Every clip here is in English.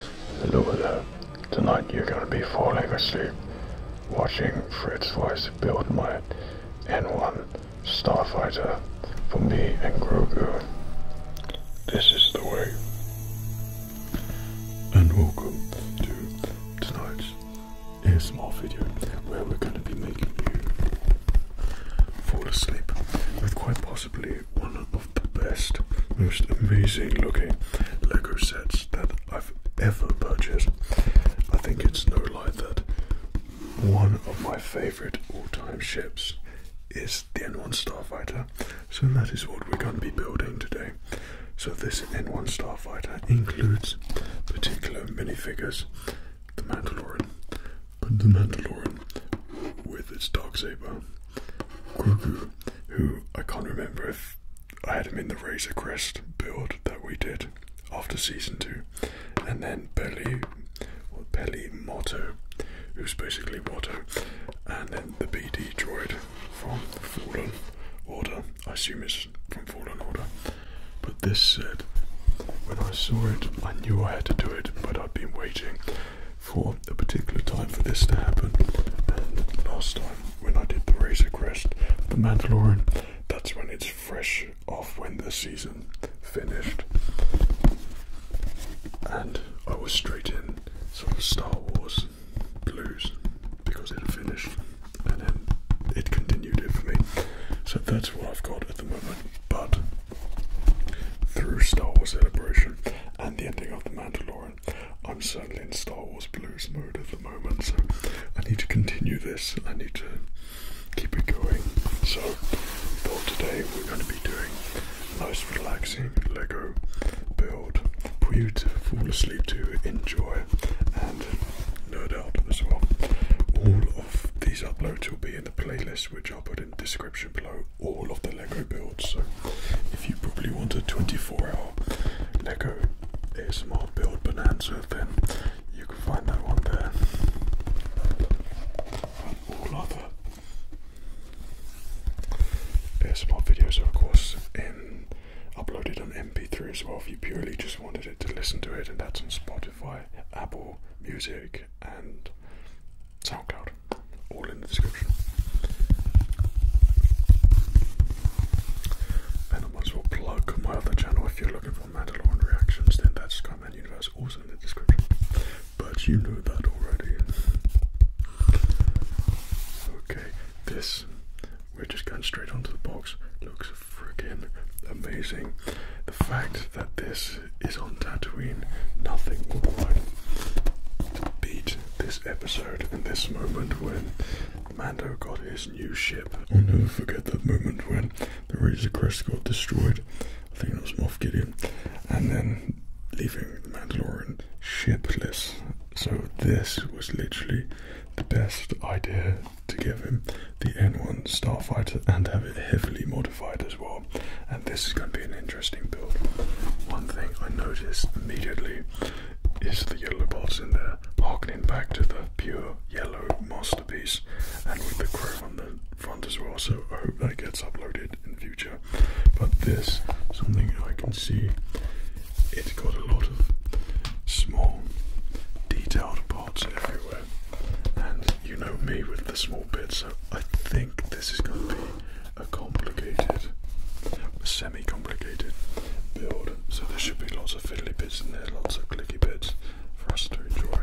Hello there. Tonight you're gonna be falling asleep watching Fritz voice build my N1 Starfighter for me and Grogu. This is the way. And welcome to tonight's small video where we're gonna be making you fall asleep with quite possibly one of the the best, most amazing looking Lego sets that I've ever purchased. I think it's no lie that one of my favorite all time ships is the N1 Starfighter. So that is what we're going to be building today. So this N1 Starfighter includes particular minifigures, the Mandalorian, but the Mandalorian with its dark saber, who I can't remember if I had him in the Razor Crest build that we did after season two, and then Belly, or Belly Motto, who's basically Watto, and then the BD droid from Fallen Order. I assume it's from Fallen Order. But this said, when I saw it, I knew I had to do it, but I'd been waiting for the particular time for this to happen. And last time when I did the Razor Crest, the Mandalorian, that's when it's fresh off when the season finished. And I was straight in sort of Star Wars blues because it had finished and then it continued it for me. So that's what I've got at the moment. But through Star Wars Celebration and the ending of The Mandalorian, I'm certainly in Star Wars blues mode at the moment, so I need to continue this. and I need to keep it going. So, for today, we're going to be doing a nice, relaxing Lego build for you to fall asleep to, enjoy, and no doubt as well. All of these uploads will be in the playlist, which I'll put in the description below, all of the Lego builds. So if you probably want a 24-hour Lego ASMR build bonanza, then you can find that one there. And all other ASMR videos of course in uploaded on MP3 as well if you purely just wanted it to listen to it and that's on Spotify, Apple Music and SoundCloud. All in the description. And I might as plug my other channel if you're looking for Mandalorian reactions, then that's Skyman Universe, also in the description. But you know that already. Okay, this, we're just going straight onto the box, looks freaking amazing. The fact that this is on Tatooine, nothing will be beat this episode. In this moment when Mando got his new ship. I'll never forget that moment when the Razor Crest got destroyed. I think it was Moff Gideon. And then leaving the shipless. So this was literally the best idea to give him the N1 Starfighter and have it heavily modified as well. And this is going to be an interesting build. One thing I noticed immediately is the yellow balls in there, Harking back to the pure yellow masterpiece, and with the chrome on the front as well. So I hope that gets uploaded in future. But this, something I can see, it's got a lot of small, detailed parts everywhere, and you know me with the small bits. So I think this is going to be a complicated, semi-complicated build. So there should be lots of fiddly bits in there, lots of clicky bits for us to enjoy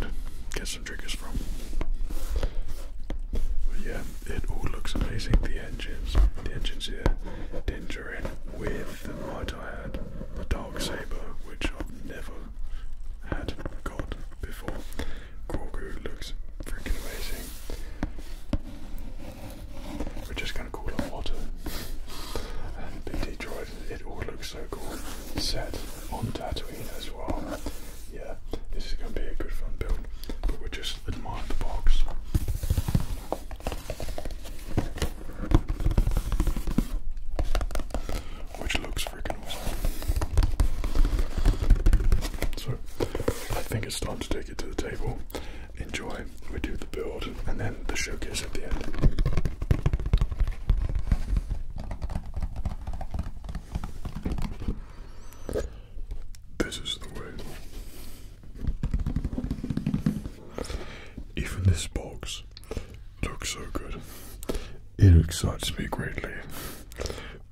and get some triggers from. But yeah, it all looks amazing. The engines, the engines here, dingering with the might I had, the dark saber, which I've never had got before. Grogu looks freaking amazing. We're just gonna call it Otter. And BD Droid, it all looks so cool. Set on Tatooine as well. Yeah, this is gonna be a good fun build. But we're just admire the box. Which looks freaking awesome. So I think it's time to do take it to the table, enjoy, we do the build, and then the showcase at the end. This is the way. Even this box looks so good. It excites me greatly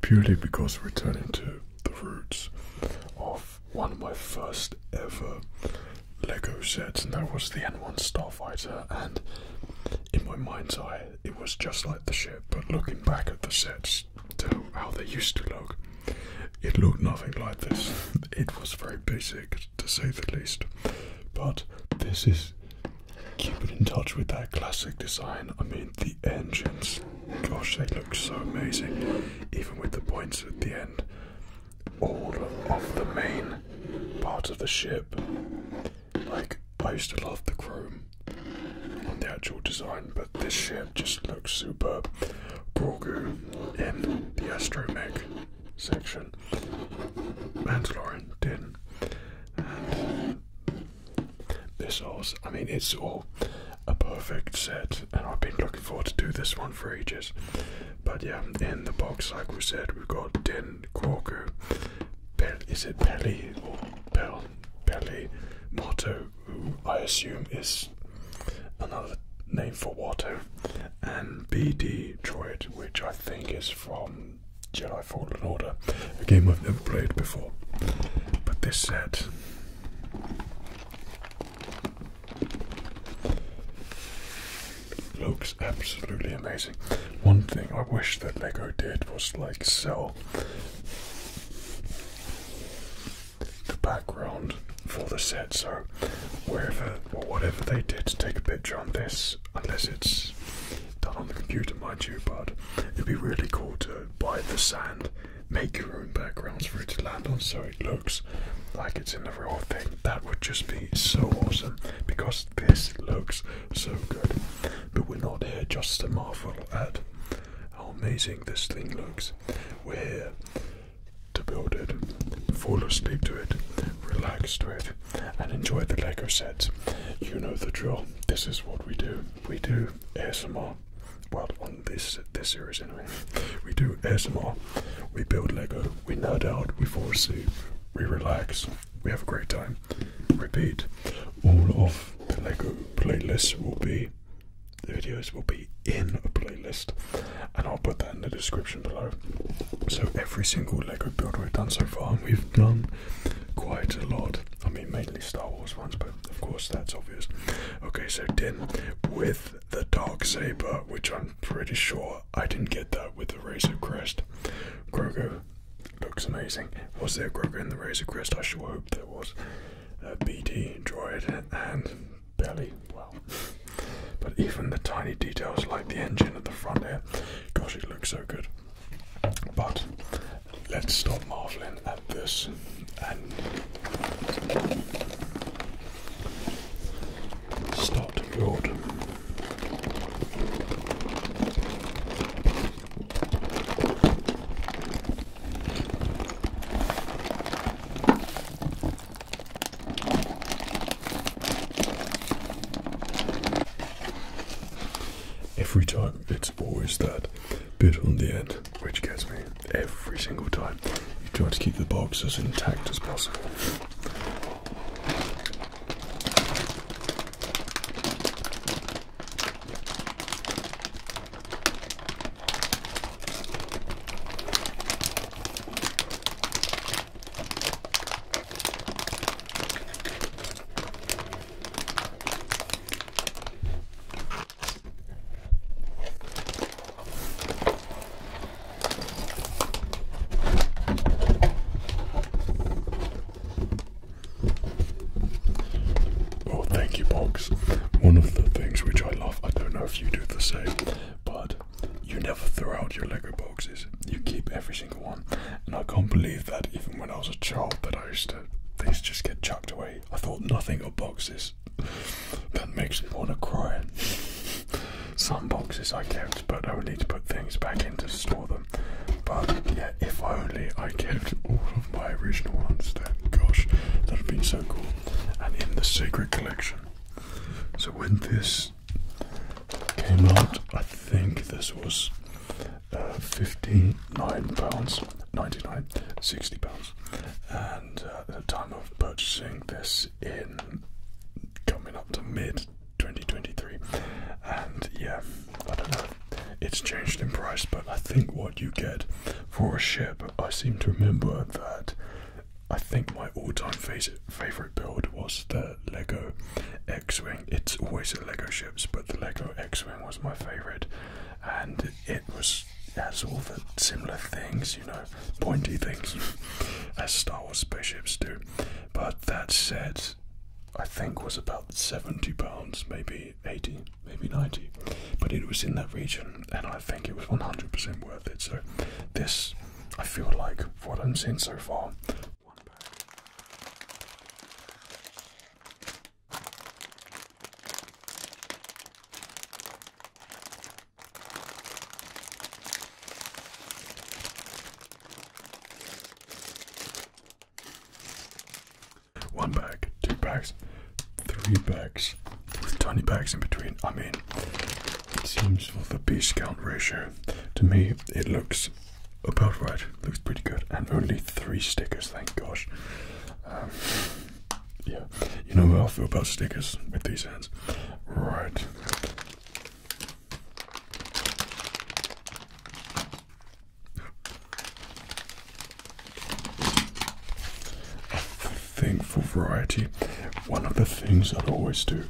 purely because we're turning to the roots of one of my first ever Lego sets, and that was the N1 Starfighter. And in my mind's eye, it was just like the ship, but looking back at the sets to how they used to look, it looked nothing like this. It was very basic, to say the least. But this is keeping in touch with that classic design. I mean, the engines Gosh, they look so amazing, even with the points at the end. All of the main part of the ship. Like, I used to love the chrome on the actual design, but this ship just looks superb. Grogu in the astromech section. Mandalorian din. And missiles. I mean, it's all a perfect set, and I've been looking forward to do this one for ages. But yeah, in the box, like we said, we've got Den Quaku. Is it Pelly or Pel? Pelly Motto, I assume is another name for water, and BD Droid, which I think is from Jedi Fallen Order, a game I've never played before. But this set Looks absolutely amazing. One thing I wish that Lego did was like sell the background for the set. So wherever or whatever they did, to take a picture on this, unless it's done on the computer, mind you. But it'd be really cool to buy the sand make your own backgrounds for it to land on so it looks like it's in the real thing. That would just be so awesome because this looks so good. But we're not here just to marvel at how amazing this thing looks. We're here to build it, fall asleep to it, relax to it, and enjoy the Lego sets. You know the drill. This is what we do. We do ASMR well, on this this series anyway, we do ASMR, we build Lego, we nerd out, we fall asleep, we relax, we have a great time. Repeat. All of the Lego playlists will be, the videos will be in a playlist, and I'll put that in the description below. So every single Lego build we've done so far, and we've done quite a lot. I mean, mainly Star Wars ones, but of course, that's obvious. Okay, so Din with the dark saber, which I'm pretty sure I didn't get that with the Razor Crest. Grogu looks amazing. Was there Grogu in the Razor Crest? I sure hope there was. A BT droid, and barely. Well, But even the tiny details like the engine at the front here, gosh, it looks so good. But let's stop marveling this and start the build. Every time it's always that bit on the end which gets me every single time. You try to keep the box as intact as possible. Oh, thank you, Box. One of the things which I love, I don't know if you do the same, but you never throw out your Lego boxes. You keep every single one. And I can't believe that even when I was a child that I used to things just get chucked away. I thought nothing of boxes. That makes me want to cry. Some boxes I kept, but I need to put things back in to store them. But yeah, if only I kept all of my original ones, then gosh, that would have been so cool. And in the secret collection. So when this came out, I think this was uh, £59.99, £60. Uh, at the time of purchasing this in coming up to mid 2023 and yeah i don't know it's changed in price but i think what you get for a ship i seem to remember that i think my all-time favorite build was the lego x-wing it's always the lego ships but the lego x-wing was my favorite and it was has all the similar things, you know, pointy things, as Star Wars spaceships do. But that said, I think was about seventy pounds, maybe eighty, maybe ninety. But it was in that region, and I think it was one hundred percent worth it. So this, I feel like, what I'm seeing so far. One bag, two bags, three bags, with tiny bags in between. I mean, it seems for the piece count ratio, to me, it looks about right. Looks pretty good, and only three stickers. Thank gosh. Um, yeah, you know how I feel about stickers with these hands. Right. Thankful variety. One of the things I always do,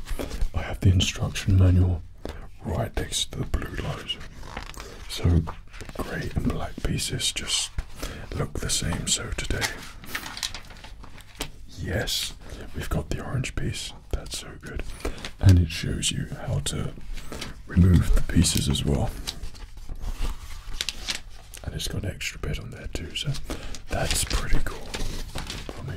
I have the instruction manual right next to the blue light. So grey and black pieces just look the same. So today Yes, we've got the orange piece. That's so good. And it shows you how to remove the pieces as well. And it's got an extra bit on there too, so that's pretty cool for me.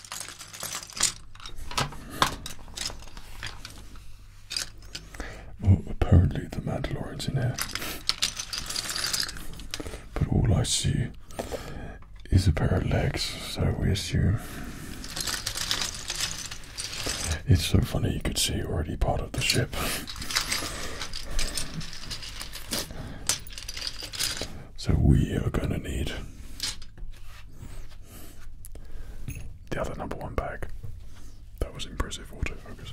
Oh, apparently the Mandalorian's in here. But all I see is a pair of legs, so we assume. It's so funny you could see already part of the ship. So we are going to need the other number one bag. That was impressive autofocus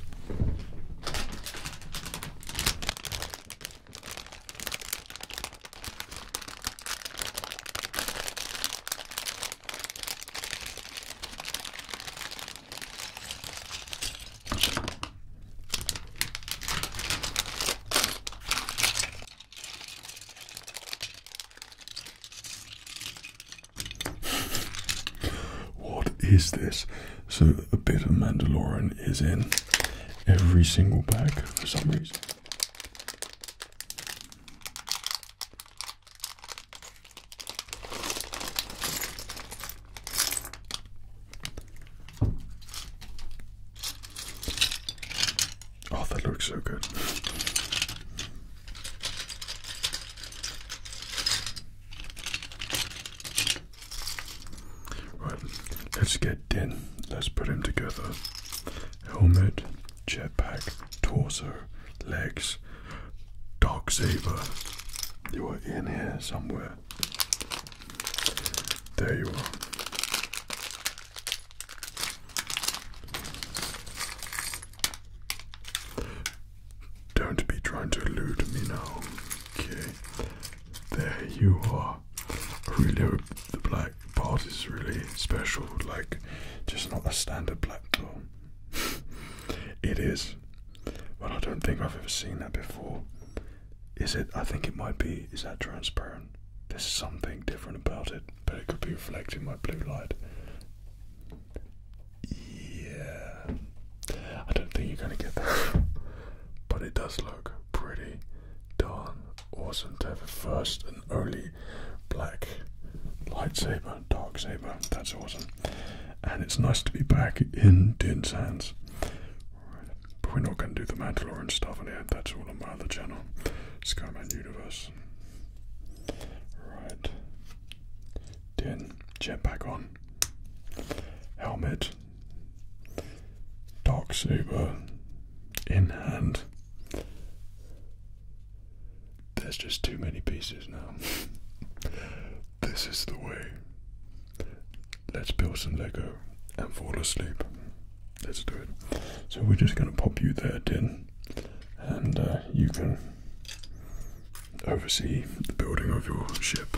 what is this? So a bit of Mandalorian is in every single bag for some reason. Oh, that looks so good. Right, let's get Den. Let's put him together. Helmet, jetpack, torso, legs, dog saber. You were in here somewhere. There you are. Don't be trying to elude me now. Okay. There you are. I really hope the black part is really special, like just not a standard black door. it is. Well, I don't think I've ever seen that before. Is it? I think it might be. Is that transparent? There's something different about it, but it could be reflecting my blue light. Yeah. I don't think you're gonna get that. but it does look pretty darn awesome to have a first and only black lightsaber, dark saber. That's awesome. And it's nice to be back in Din's but we're not going to do the Mandalorian stuff on here. That's all on my other channel, Skyman Universe. Right. Din, back on. Helmet. Dark saber in hand. There's just too many pieces now. this is the way. Let's build some Lego and fall asleep. Let's do it. So we're just going to pop you there, then, and uh, you can oversee the building of your ship.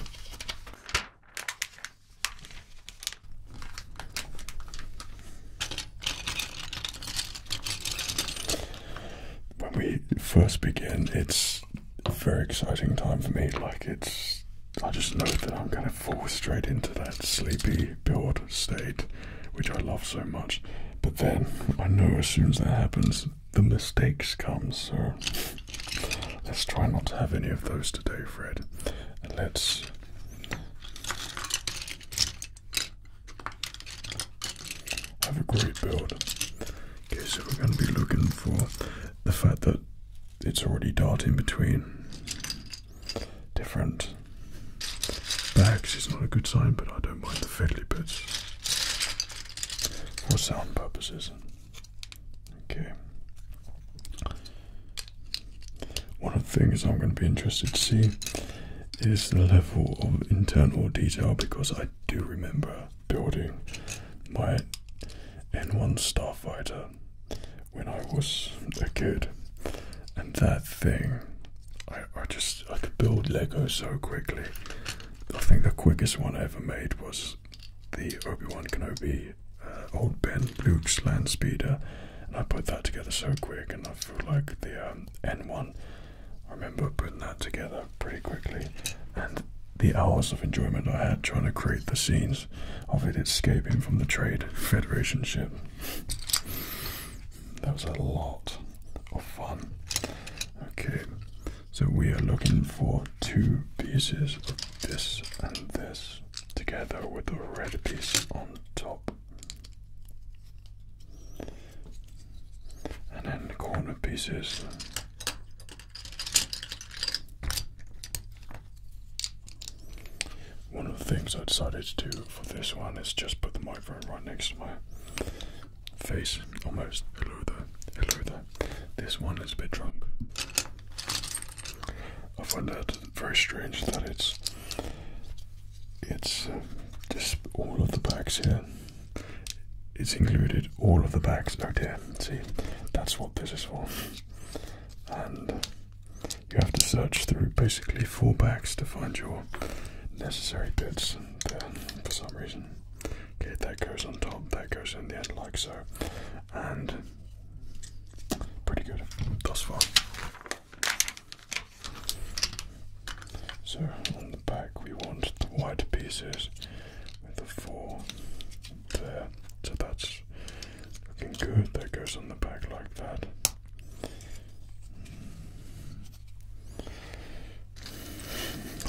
When we first begin, it's a very exciting time for me. Like, it's I just know that I'm going to fall straight into that sleepy build state, which I love so much. But then I know as soon as that happens, the mistakes come. So let's try not to have any of those today, Fred. let's. Have a great build. Okay, so we're going to be looking for the fact that it's already darting between different bags is not a good sign, but I don't mind the fiddly bits for sound purposes. Okay. One of the things I'm going to be interested to see is the level of internal detail because I do remember building my N1 Starfighter when I was a kid, and that thing, I, I just I could build Lego so quickly. I think the quickest one I ever made was the Obi Wan Kenobi uh, Old Ben Luke's Land Speeder, and I put that together so quick, and I feel like the um, N one. I remember putting that together pretty quickly, and the hours of enjoyment I had trying to create the scenes of it escaping from the Trade Federation ship. That was a lot of fun. Okay, so we are looking for two pieces of this and this together with the red piece on top. And then the corner pieces. One of the things I decided to do for this one is just put the microphone right next to my face, almost. Hello there, hello there. This one is a bit drunk. I find that very strange that it's it's just um, all of the bags here. It's included all of the bags out here. See, that's what this is for. And you have to search through basically four bags to find your necessary bits and uh, for some reason okay that goes on top that goes in the end like so and pretty good thus far so on the back we want the white pieces with the four there so that's Looking good. That goes on the back like that.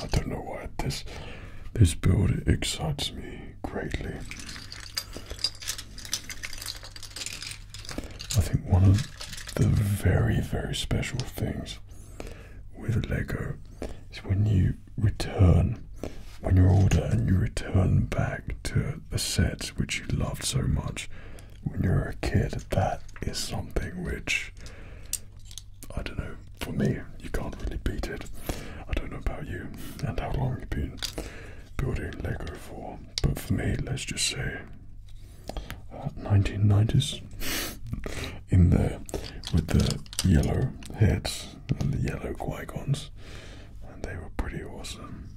I don't know why this this build excites me greatly. I think one of the very very special things with Lego is when you return when you order and you return back to the sets which you loved so much when you were a kid, that is something which I don't know. For me, you can't really beat it. I don't know about you and how long you've been building Lego for, but for me, let's just say 1990s uh, in there with the yellow heads and the yellow qui and they were pretty awesome.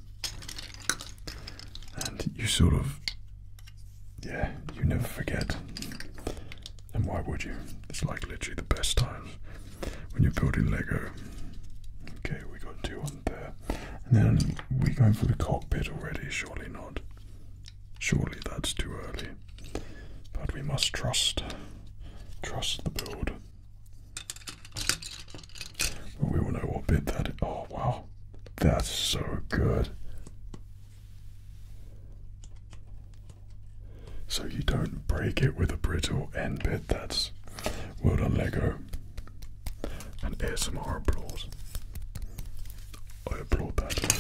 And you sort of, yeah, you never forget. And why would you? It's like literally the best times when you're building Lego. Okay, we got two on there. And then we're going for the cockpit already, surely not. Surely that's too early. But we must trust. Trust the build we all know what bid that is. Oh, wow. That's so good. So you don't break it with a brittle end bit. That's well done, Lego. And ASMR applause. I applaud that.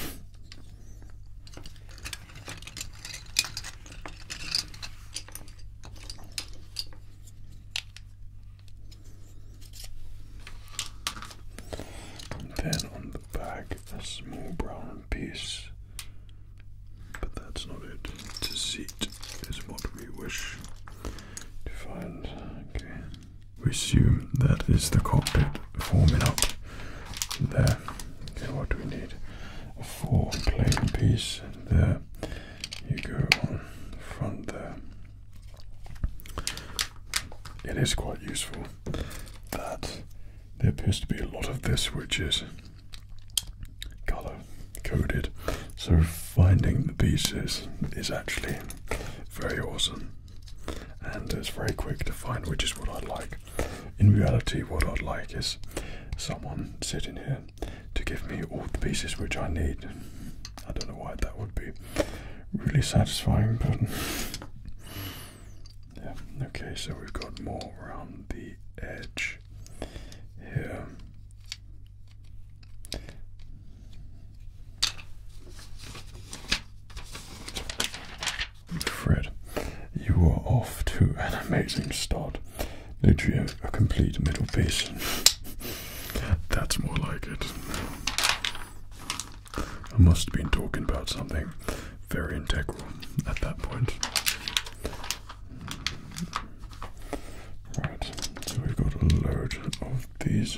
And then on the back, a small brown piece. But that's not it. Deceit is what we wish to find. Okay. We assume that is the cockpit forming up there. Okay, what do we need? A four plane piece there you go on the front there. It is quite useful that there appears to be a lot of this which is color coded, so finding the pieces is actually very awesome and it's very quick to find which is what I'd like. In reality, what I'd like is someone sitting here to give me all the pieces which I need. I don't know why that would be really satisfying, but yeah. Okay, so we've got more around the edge here. Fred, you are off to an amazing start. No a complete middle piece. That's more like it. I must have been talking about something very integral at that point. Right, so we've got a load of these.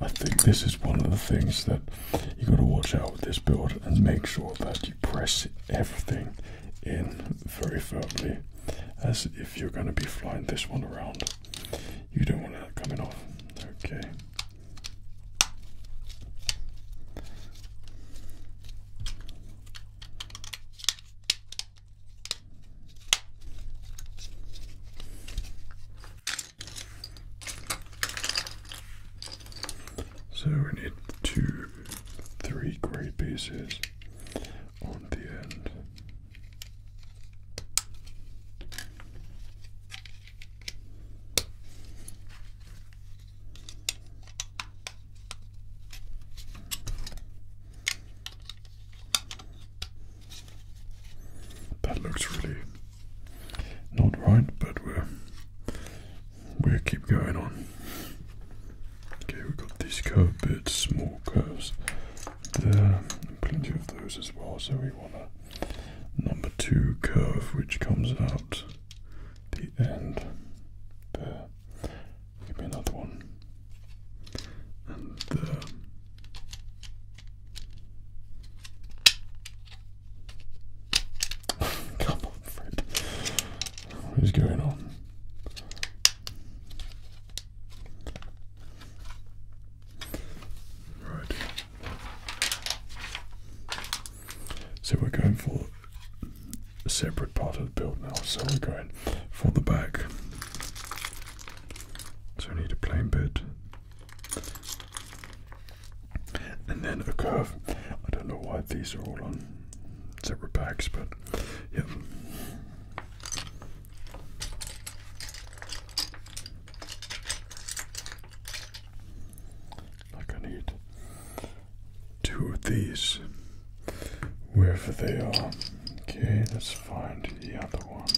I think this is one of the things that you have got to watch out with this build and make sure that you press everything in very firmly as if you're going to be flying this one around. You don't want it coming off. Okay. So we need two, three grey pieces on the end. That looks really not right, but we're we we will keep going on. Okay, we've got these curved bits, small curves there, plenty of those as well. So we want a number two curve which comes out the end Give me another one. And there. Come on, Fred. What is going on? Right. So we're going for a separate part of the build now. So we're going for the back. So we need a plain bit. And then a curve. I don't know why these are all on separate packs, but like I need two of these wherever they are. Okay, let's find the other one.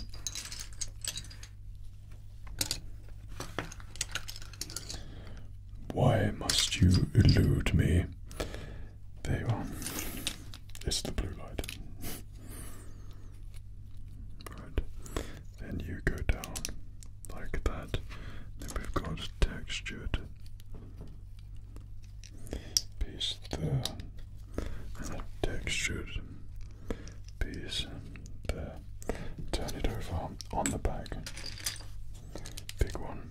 Why must you elude me? There you are. It's the blue light. right. Then you go down like that. Then we've got textured piece there. And a textured piece there. Turn it over on the back. Big one.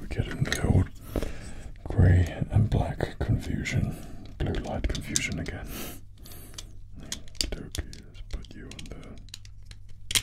We're getting the old grey and black confusion, blue light confusion again. Doki, let's put you on there.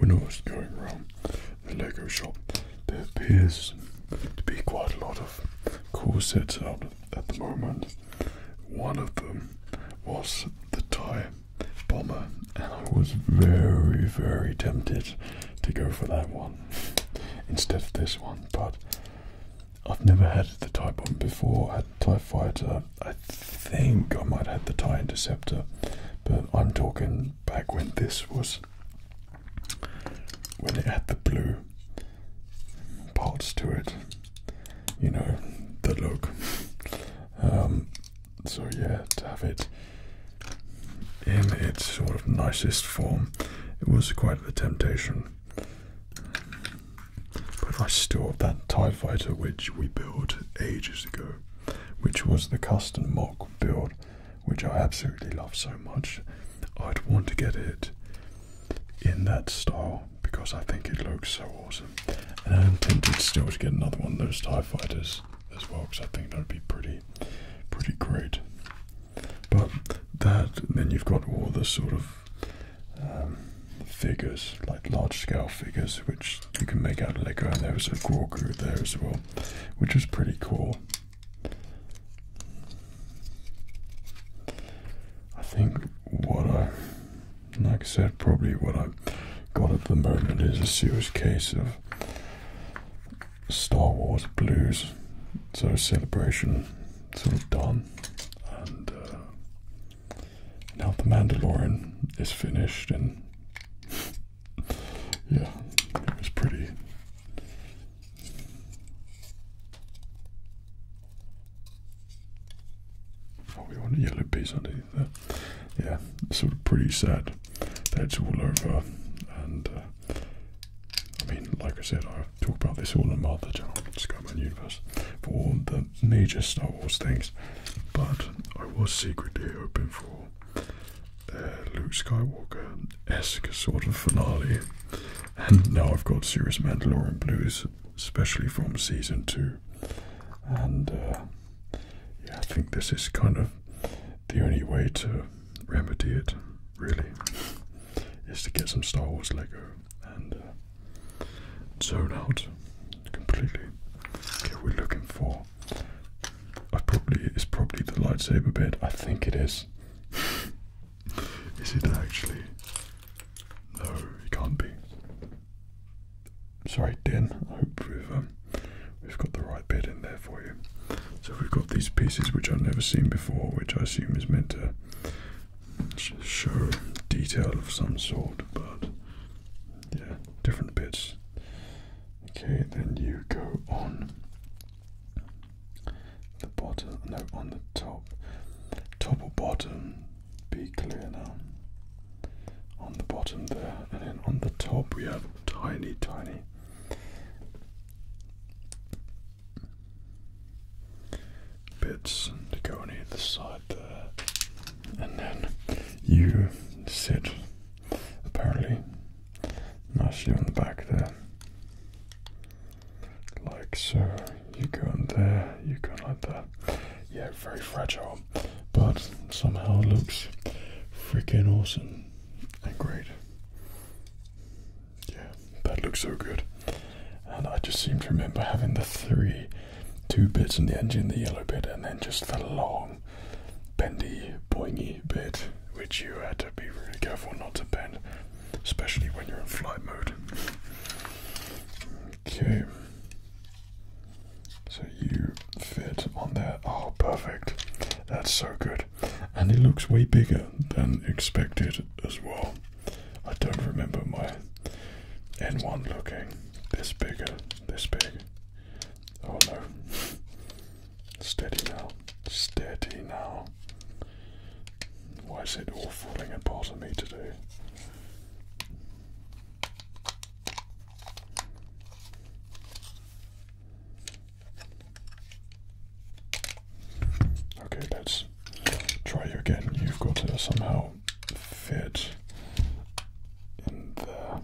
We know what's going around the Lego shop, there appears to be quite a lot of sets out at the moment. One of them was the tie bomber, and I was very, very tempted to go for that one instead of this one, but I've never had the TIE before. I had the TIE I think I might have had the TIE interceptor, but I'm talking back when this was when it had the blue parts to it. You know, the look. Um, so yeah, to have it in its sort of nicest form, it was quite the temptation. But I still have that TIE fighter which we built ages ago, which was the custom mock build, which I absolutely love so much. I'd want to get it in that style because I think it looks so awesome. And I'm tempted still to get another one those TIE fighters as well because I think that would be pretty, pretty great. But that, then you've got all the sort of um, figures, like large scale figures, which you can make out of Lego, and there was a Gorgu there as well, which was pretty cool. I think what I like I said, probably what I've got at the moment is a serious case of Star Wars blues. So celebration sort of done, and uh, now the Mandalorian is finished, and yeah, it was pretty. Oh, we want a yellow piece underneath there. Yeah, sort of pretty sad. That's all over. And uh, I mean, like I said, I have talked about this all in my other channel, Skyman Universe, for all the major Star Wars things. But I was secretly hoping for uh, Luke Skywalker esque sort of finale. And now I've got serious Mandalorian blues, especially from season two. And uh, yeah, I think this is kind of the only way to remedy it, really, is to get some Star Wars Lego and uh, zone out completely. Okay, we're looking for. I probably it's probably the lightsaber bit. I think it is. is it actually? No, it can't be sorry, den. I hope we've um, got the right bit in there for you. So we've got these pieces which I've never seen before, which I assume is meant to show detail of some sort, but yeah, different bits. Okay, then you go on the bottom, no, on the top, top or bottom, be clear now. On the bottom there, and then on the top we have tiny, tiny bits and go on either side there. And then you sit apparently nicely on the back there. Like so, you go on there, you go like that yeah, very fragile, but somehow looks freaking awesome and great. Yeah, that looks so good. And I just seem to remember having the three, two bits in the engine, the yellow bit, and then just the long, bendy, boingy bit, which you had to be really careful not to bend, especially when you're in flight mode. Okay. So you fit on there. Oh, perfect. That's so good. And it looks way bigger than expected as well. I don't remember my N1 looking this bigger, this big. Oh no. Steady now. Steady now. Why is it all falling apart on me today? Okay, let's try you again. You've got to somehow fit in there.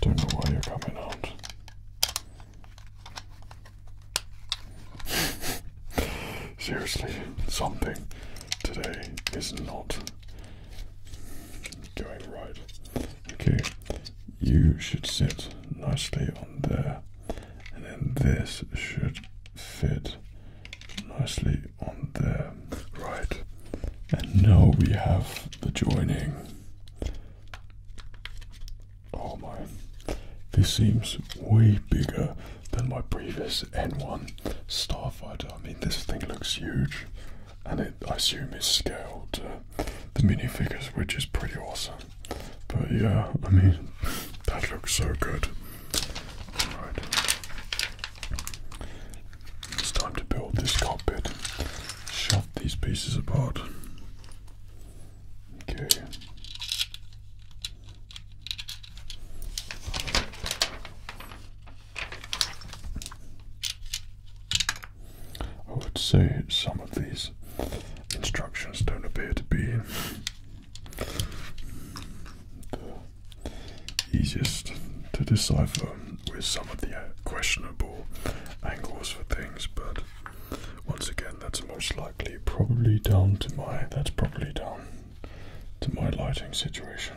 Don't know why you're coming out. Seriously, something today is not going right. Okay, you should sit nicely on there, and then this should fit nicely on there. Right, and now we have the joining. Oh my, this seems way bigger than my previous N1 Starfighter. I mean, this thing looks huge, and it, I assume, is scaled to uh, the minifigures, which is pretty awesome. But yeah, I mean, that looks so good. Right, it's time to build this cockpit. Shove these pieces apart. Okay. I would say some of these instructions don't appear to be the easiest to decipher with some of the questionable angles for things, but once again, that's most likely probably down to my that's probably down to my lighting situation.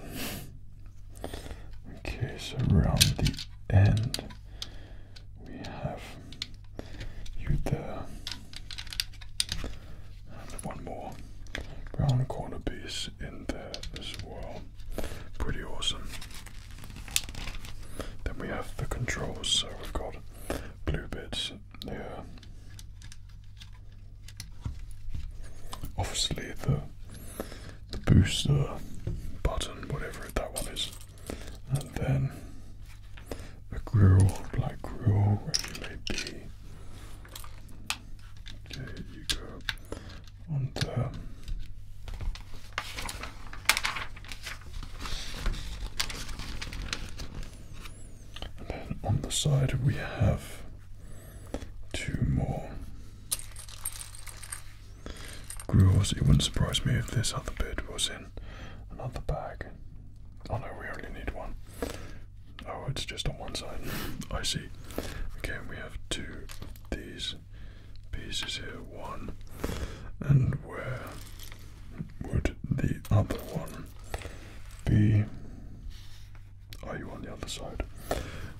Okay, so around the end we have you there. one more brown corner piece in there as well. Pretty awesome. Then we have the controls, so we've got blue bits yeah. Obviously, the the booster button, whatever that one is, and then a grill, black grill, regulate be. Okay, you go on there. Um, and then on the side we have two more grills. It wouldn't surprise me if this other bit was in another bag. Oh no, we only need one. Oh, it's just on one side. I see. Again, we have two these pieces here. One, and where would the other one be. Are you on the other side?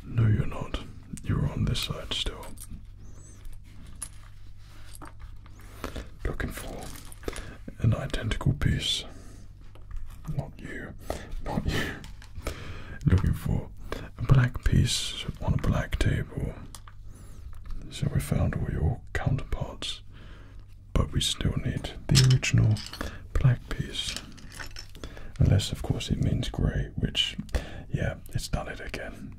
No, you're not. You're on this side still. Looking for an identical piece. Not you. Not you. Looking for a black piece on a black table. So we found all your counterparts but we still need the original black piece. Unless, of course, it means grey, which, yeah, it's done it again.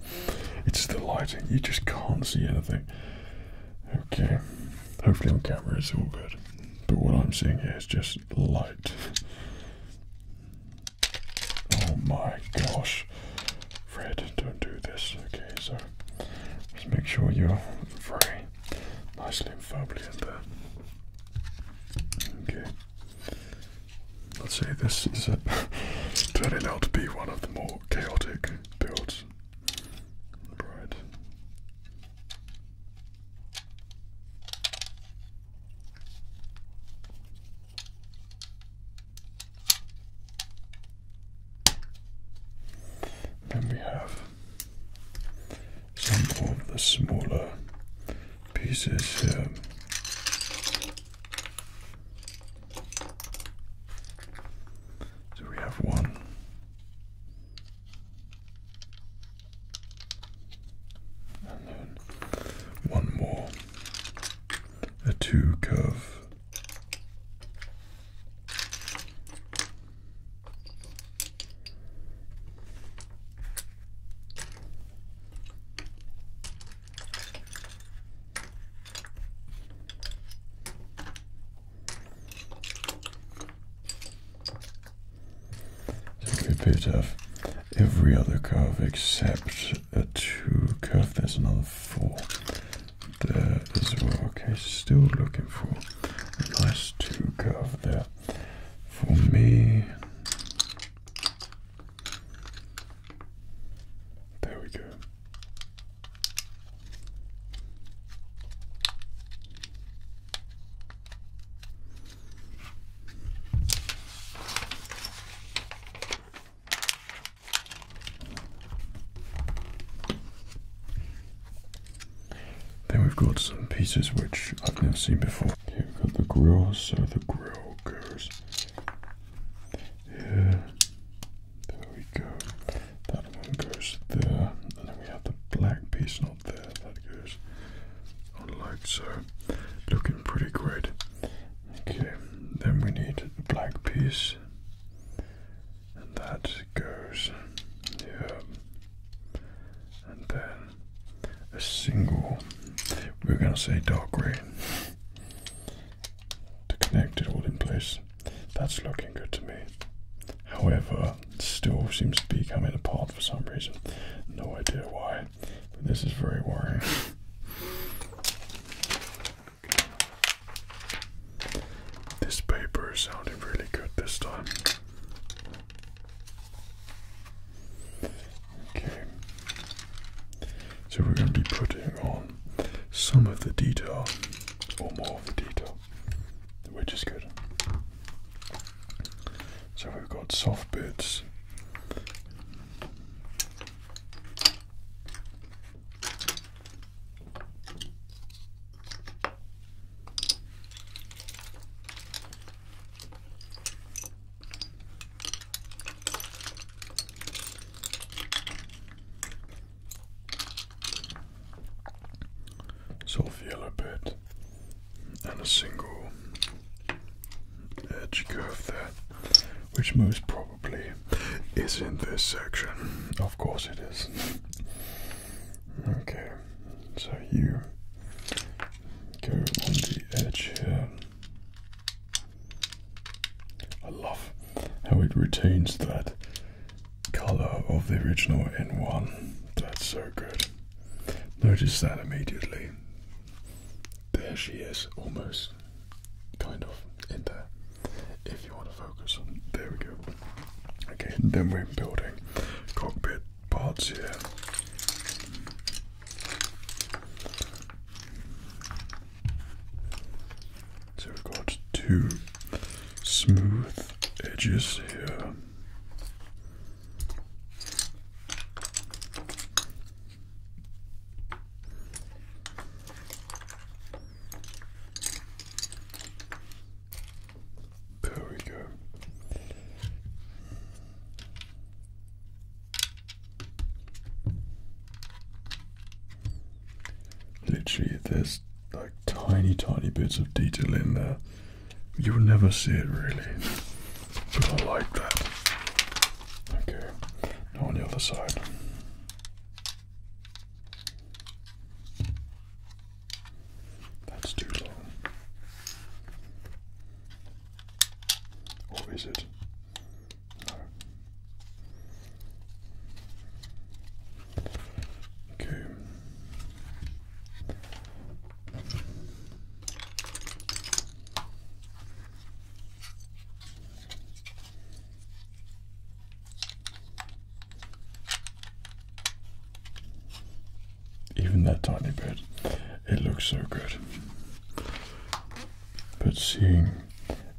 it's the lighting, you just can't see anything. Okay, hopefully on camera it's all good, but what I'm seeing here is just light. Oh my gosh, Fred, don't do this. Okay, so just make sure you're very nicely and firmly in there. Okay. I'd say this is a turning out to be one of the more chaotic builds. Right. Then we have some of the smaller pieces here. So we have one. And then one more, a two curve, so we bit off every other curve except a two curve. There's another four there as well. Okay, still looking for a nice two curve there. For me, there we go. Then we've got some pieces which I've never seen before. Here we've got the grill, so the grill goes here. There we go. That one goes there. And then we have the black piece not there. That goes on like so. Looking pretty great. Okay, then we need the black piece and that goes here, and then a single. We're going to say dark green to connect it all in place. That's looking good to me. However, it still seems to be coming apart for some reason. No idea why, but this is very worrying. This paper sounded really good this time. Okay. So we're going to be putting on some of the detail, or more of the detail, which is good. So we've got soft bits soft yellow bit and a single edge curve there, which most probably is in this section. Of course it is. okay, so you go on the edge here. I love how it retains that color of the original N1. That's so good. Notice that immediately. There she is, almost, kind of, in there if you want to focus. There we go. Okay, then we're building cockpit parts here. So we've got two smooth edges here. There we go. Literally, there's like tiny, tiny bits of detail in there. You'll never see it really, but I like that. Okay, now on the other side. That's too long. Or is it? No. Okay. Even that tiny bit, it looks so good. But seeing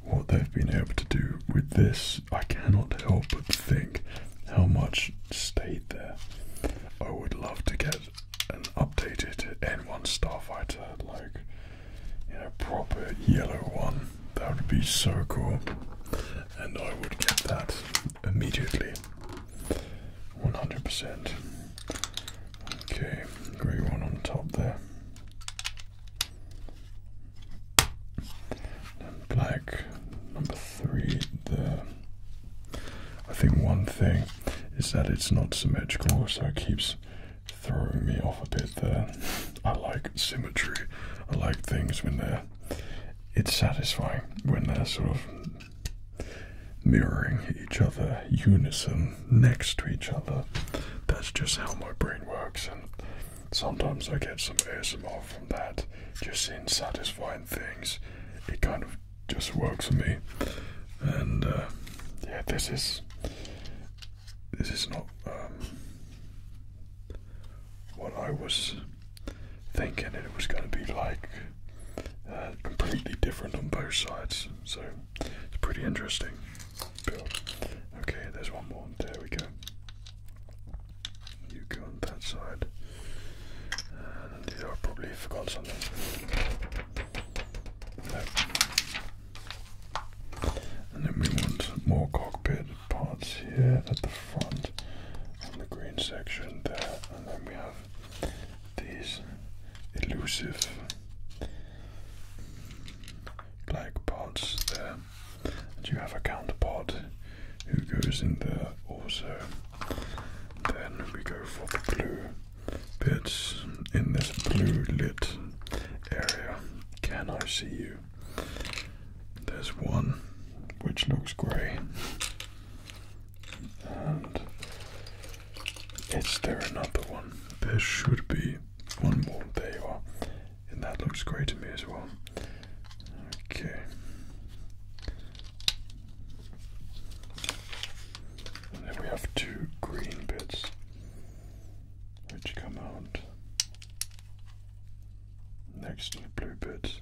what they've been able to do with this, I cannot help but think how much state there. I would love to get an updated N1 Starfighter, like, a proper yellow one. That would be so cool. And I would get that immediately. 100%. Okay, grey one on top there. black number three there. I think one thing is that it's not symmetrical, so it keeps throwing me off a bit there. I like symmetry. I like things when they're it's satisfying when they're sort of mirroring each other, unison, next to each other. That's just how my brain works, and sometimes I get some ASMR from that. Just seeing satisfying things, it kind of just works for me. And uh, yeah, this is this is not. Um, what I was thinking, it was going to be like uh, completely different on both sides. So it's pretty interesting Okay, there's one more. There we go. You go on that side. And I probably forgot something. No. And then we want more cockpit separated parts here at the front and the green section there, and then we have these elusive black parts there. And you have a counterpart who goes in there also. Then we go for the blue bits in this blue lit area. Can I see you? There's one which looks grey, and is there another one? There should be one more. There you are, and that looks grey to me as well. Okay. And then we have two green bits which come out Next to the bluebirds.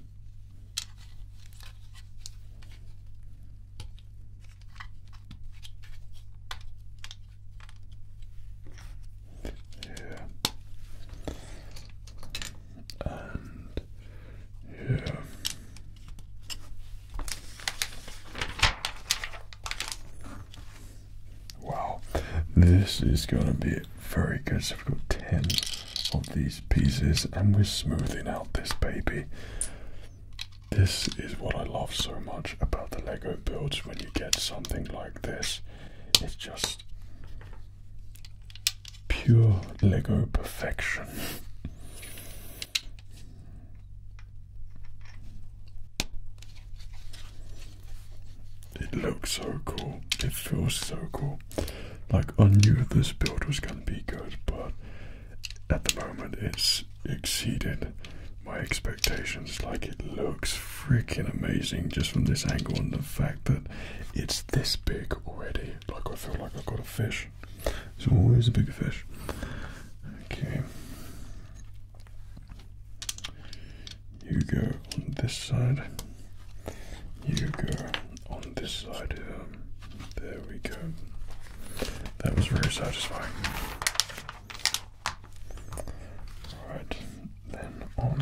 Yeah. And yeah. Wow, this is gonna be very good. So we've got 10 of these pieces and we're smoothing out this baby. This is what I love so much about the Lego builds when you get something like this. It's just pure Lego perfection. It looks so cool. It feels so cool. Like I knew this build was gonna be good, but at the moment it's exceeded my expectations. Like it looks freaking amazing just from this angle and the fact that it's this big already. Like I feel like I've got a fish. It's always a big fish. Okay. You go on this side. You go on this side um, There we go. That was very satisfying. Alright, then on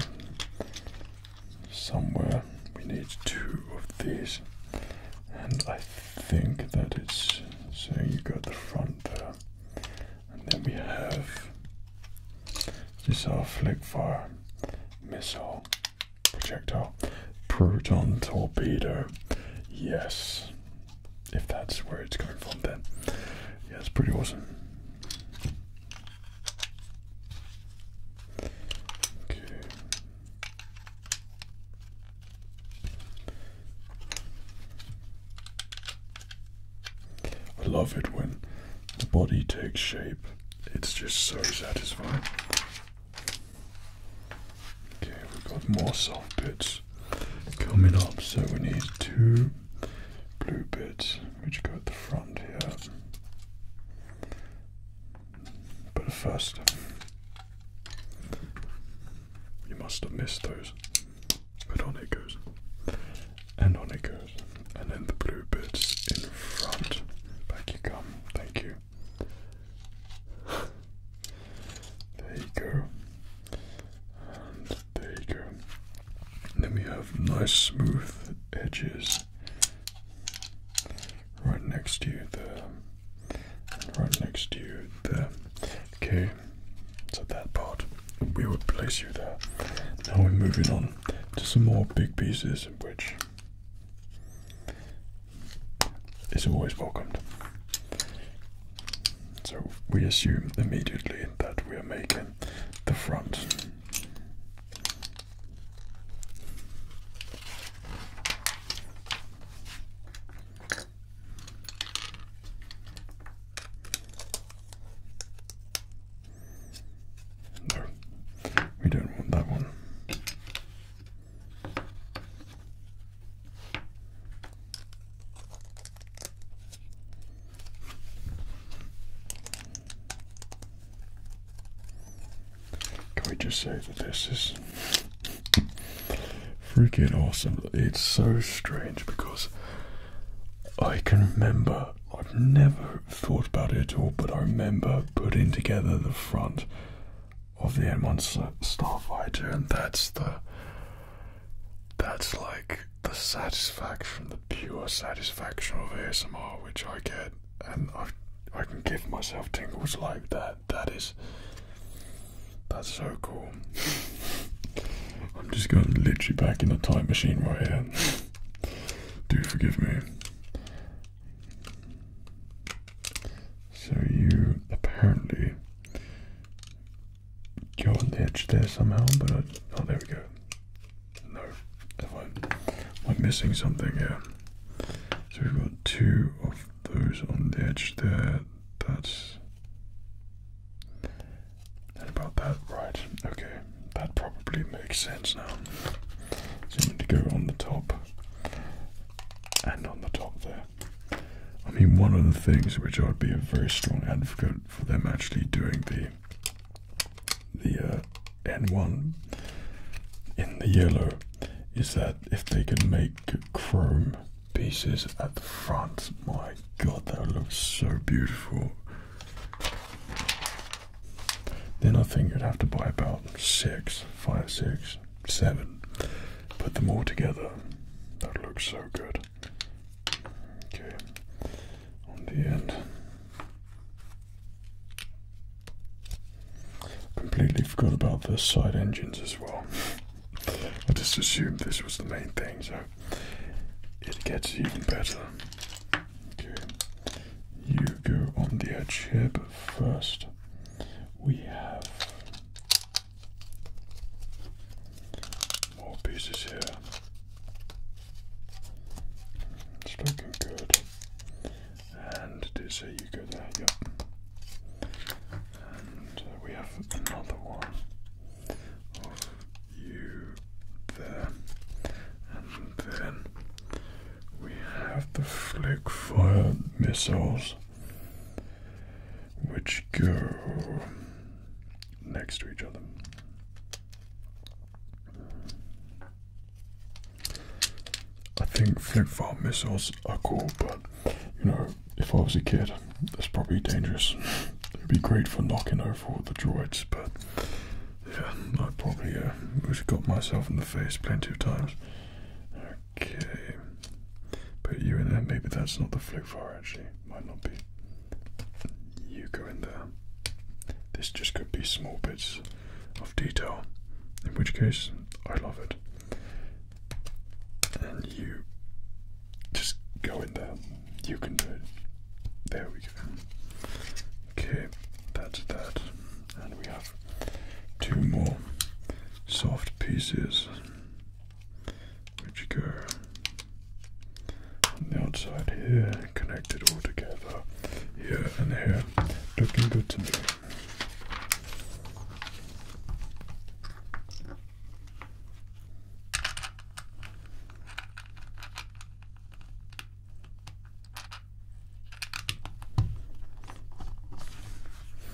somewhere we need two of these. And I think that it's so you got the front there. And then we have this is our flickfire missile projectile proton torpedo. Yes, if that's where it's coming from, then yes, it's pretty awesome. Okay. I love it when the body takes shape it's just so satisfying. Okay, we've got more salt bits coming up, so we need two blue bits which go at the front here. But first, you must have missed those, but on it goes and on it goes. And then the blue bits in front. Back you come. Thank you. there you go. And there you go. And then we have nice smooth edges right next to you there. And right next to you there. Okay, so that part we will place you there. Now we're moving on to some more big pieces which is always welcomed. So we assume immediately that we are making the front. No, we don't want that one. Can we just say that this is freaking awesome? It's so strange because I can remember I've never thought about it at all, but I remember putting together the front of the M1 Starfighter, and that's the that's like the satisfaction, the pure satisfaction of ASMR, which I get, and I I can give myself tingles like that. That is that's so cool. I'm just going literally back in the time machine right here. Do forgive me. So you apparently got on the edge there somehow, but oh, there we go. No, I, am I missing something here? So we've got two of those on the edge there. That's and about that, right? Okay that probably makes sense now. So to go on the top and on the top there. I mean, one of the things which I would be a very strong advocate for them actually doing the the uh, N1 in the yellow is that if they could make chrome pieces at the front, my god, that would look so beautiful. Then I think you'd have to buy about six, five, six, seven. Put them all together. That looks so good. Okay, on the end. Completely forgot about the side engines as well. I just assumed this was the main thing, so it gets even better. Okay. You go on the edge here, but first we have more pieces here. It's looking good. And did a you go there? Yep. And uh, we have another one of you there then we have the flick fire missiles, which go next to each other. I think flick fire missiles are cool, but you know, if I was a kid, that's probably dangerous. It'd be great for knocking over the droids, but yeah, I probably uh, got myself in the face plenty of times. Okay. Put you in there. Maybe that's not the flu far actually. Might not be. You go in there. This just could be small bits of detail. In which case, I love it. And you just go in there. You can do it. There we go. Okay, that's that. And we have two more soft pieces which go on the outside here, connect it all together here and here. Looking good to me.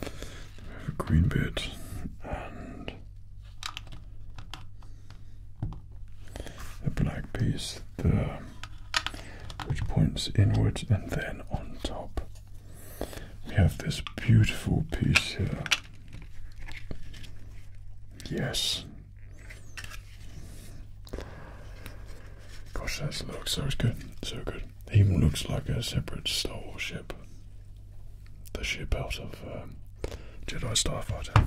We have a green bit and a black piece there which points inwards and then on top we have this beautiful piece here yes Gosh, that looks so good, so good. It even looks like a separate starship. The ship out of um, Jedi Starfighter.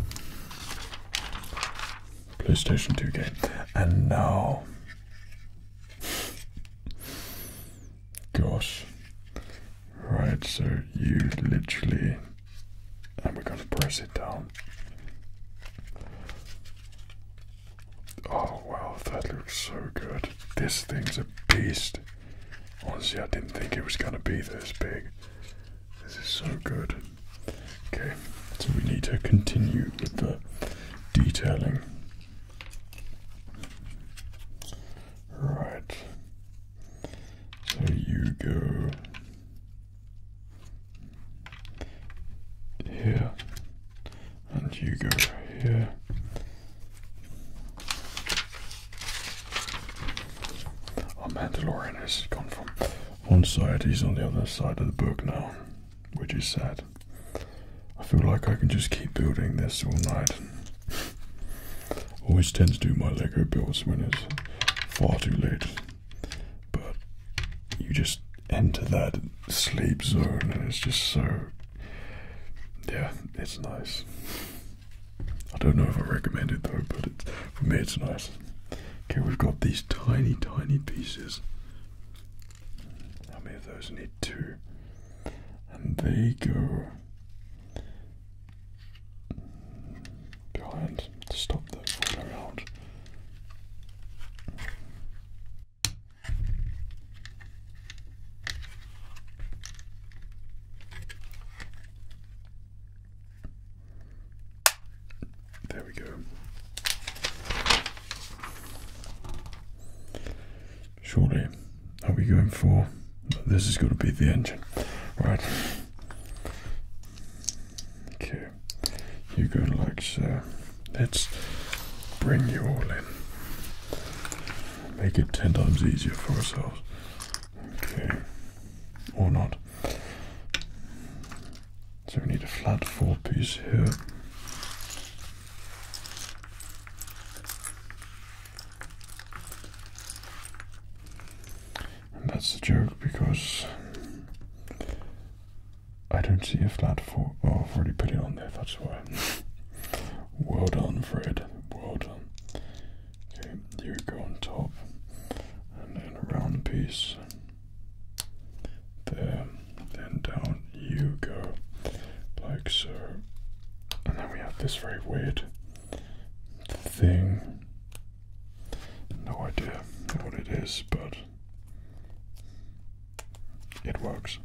PlayStation 2 game. And now. Gosh. Right, so you literally. And we're going to press it down. Oh wow, that looks so good. This thing's a beast. Honestly, I didn't think it was gonna be this big. This is so good. Okay, so we need to continue with the detailing. Right. So you go here, and you go here. Our Mandalorian has gone from one side, he's on the other side of the book now, which is sad. I feel like I can just keep building this all night. Always tend to do my Lego builds when it's far too late. But you just enter that sleep zone and it's just so. Yeah, it's nice. I don't know if I recommend it though, but it, for me it's nice. Okay, we've got these tiny, tiny pieces. How many of those need two? And they go behind to stop the fall around. There we go. Surely, are we going for? This is going to be the engine, right? Okay you. You go like so. Let's bring you all in. Make it ten times easier for ourselves. Okay. Or not. So we need a flat four piece here. that's the joke because I don't see a flat 4 I've already put it on there, that's why. well done, Fred. Well done. Okay, you go on top. And then a round piece. There. Then down you go. Like so. And then we have this very weird thing. No idea what it is, but it works.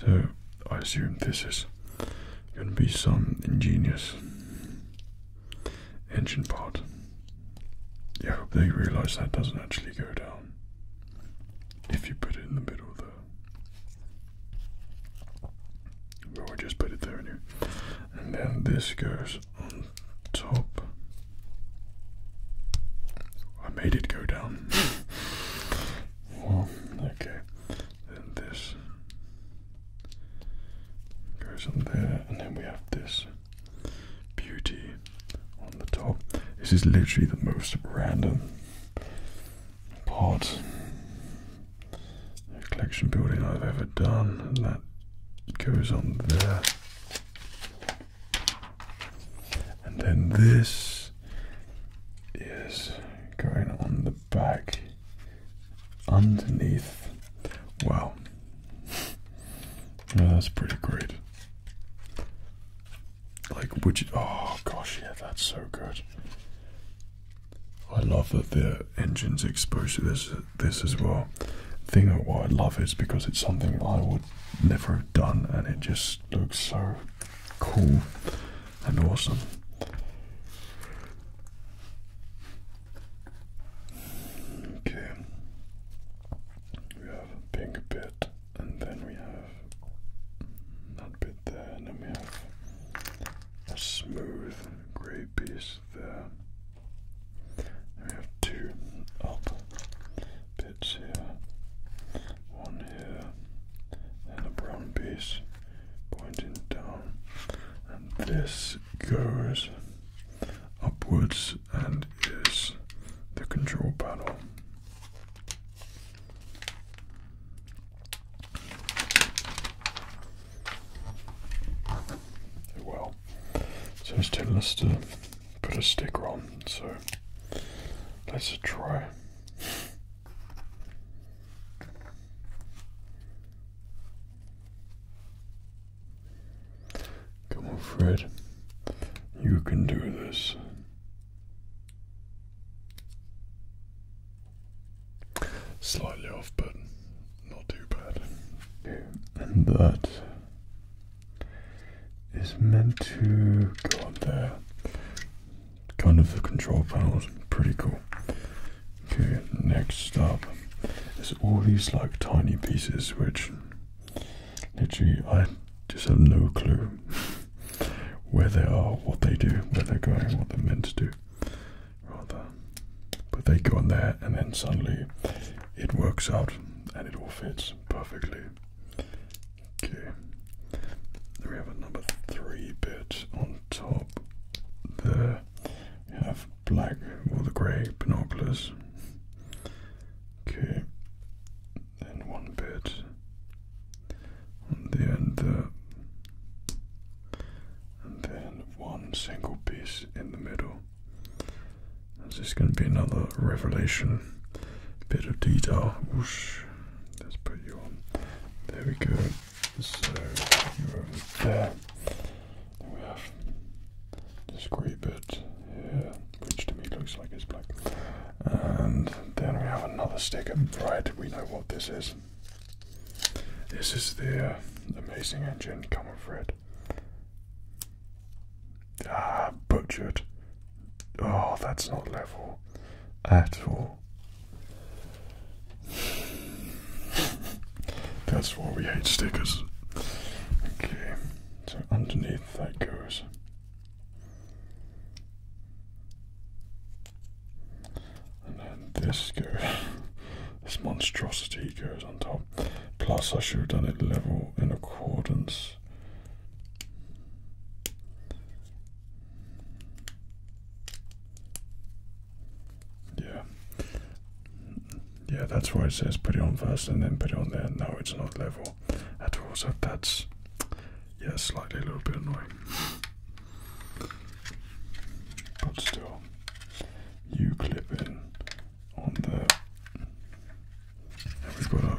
So I assume this is going to be some ingenious engine part. Yeah, I hope they realise that doesn't actually go down if you put it in the middle there. Well, I just put it there And then this goes on top. I made it go down. okay. Then this Goes on there, and then we have this beauty on the top. This is literally the most random pot collection building I've ever done, that goes on there. And then this is going on the back underneath. Well, Oh, that's pretty great. Like, would you? Oh gosh, yeah, that's so good. I love that the engine's exposed to this this as well. Thing of why I love is because it's something I would never have done, and it just looks so cool and awesome. Okay, we have a pink bit, and then we have that bit there, and then we have a smooth grey piece there. And we have two up bits here, one here, and a brown piece pointing down, and this goes upwards and is the control panel. Well, so it's telling us to put a sticker on, so let's try. Come on, Fred. You can do this. Slightly off, but not too bad. And that is meant to go up there. Kind of the control panels, pretty cool. Okay, next stop. There's all these like tiny pieces which literally I just have no clue where they are, what they do, where they're going, what they're meant to do. Rather. But they go on there and then suddenly it works out and it all fits perfectly. Okay. we have a number three bit on top there. We have black or the grey binoculars. Okay, then one bit on the and then one single piece in the middle. This is going to be another revelation bit of detail. Whoosh. Let's put you on. There we go. So you're there we have this grey bit here, which to me looks like it's black. And then we have another sticker. Right, we know what this is. This is the uh, amazing engine coming Fred. Ah, butchered. Oh, that's not level at all. That's why we hate stickers. Okay, so underneath that goes. And then this goes. this monstrosity goes on top. Plus, I should have done it level in accordance. Yeah. Yeah, that's why it says put it on first and then put it on there. No, it's not level at all. So that's, yeah, slightly a little bit annoying. But still, you clip in on there. we've got a.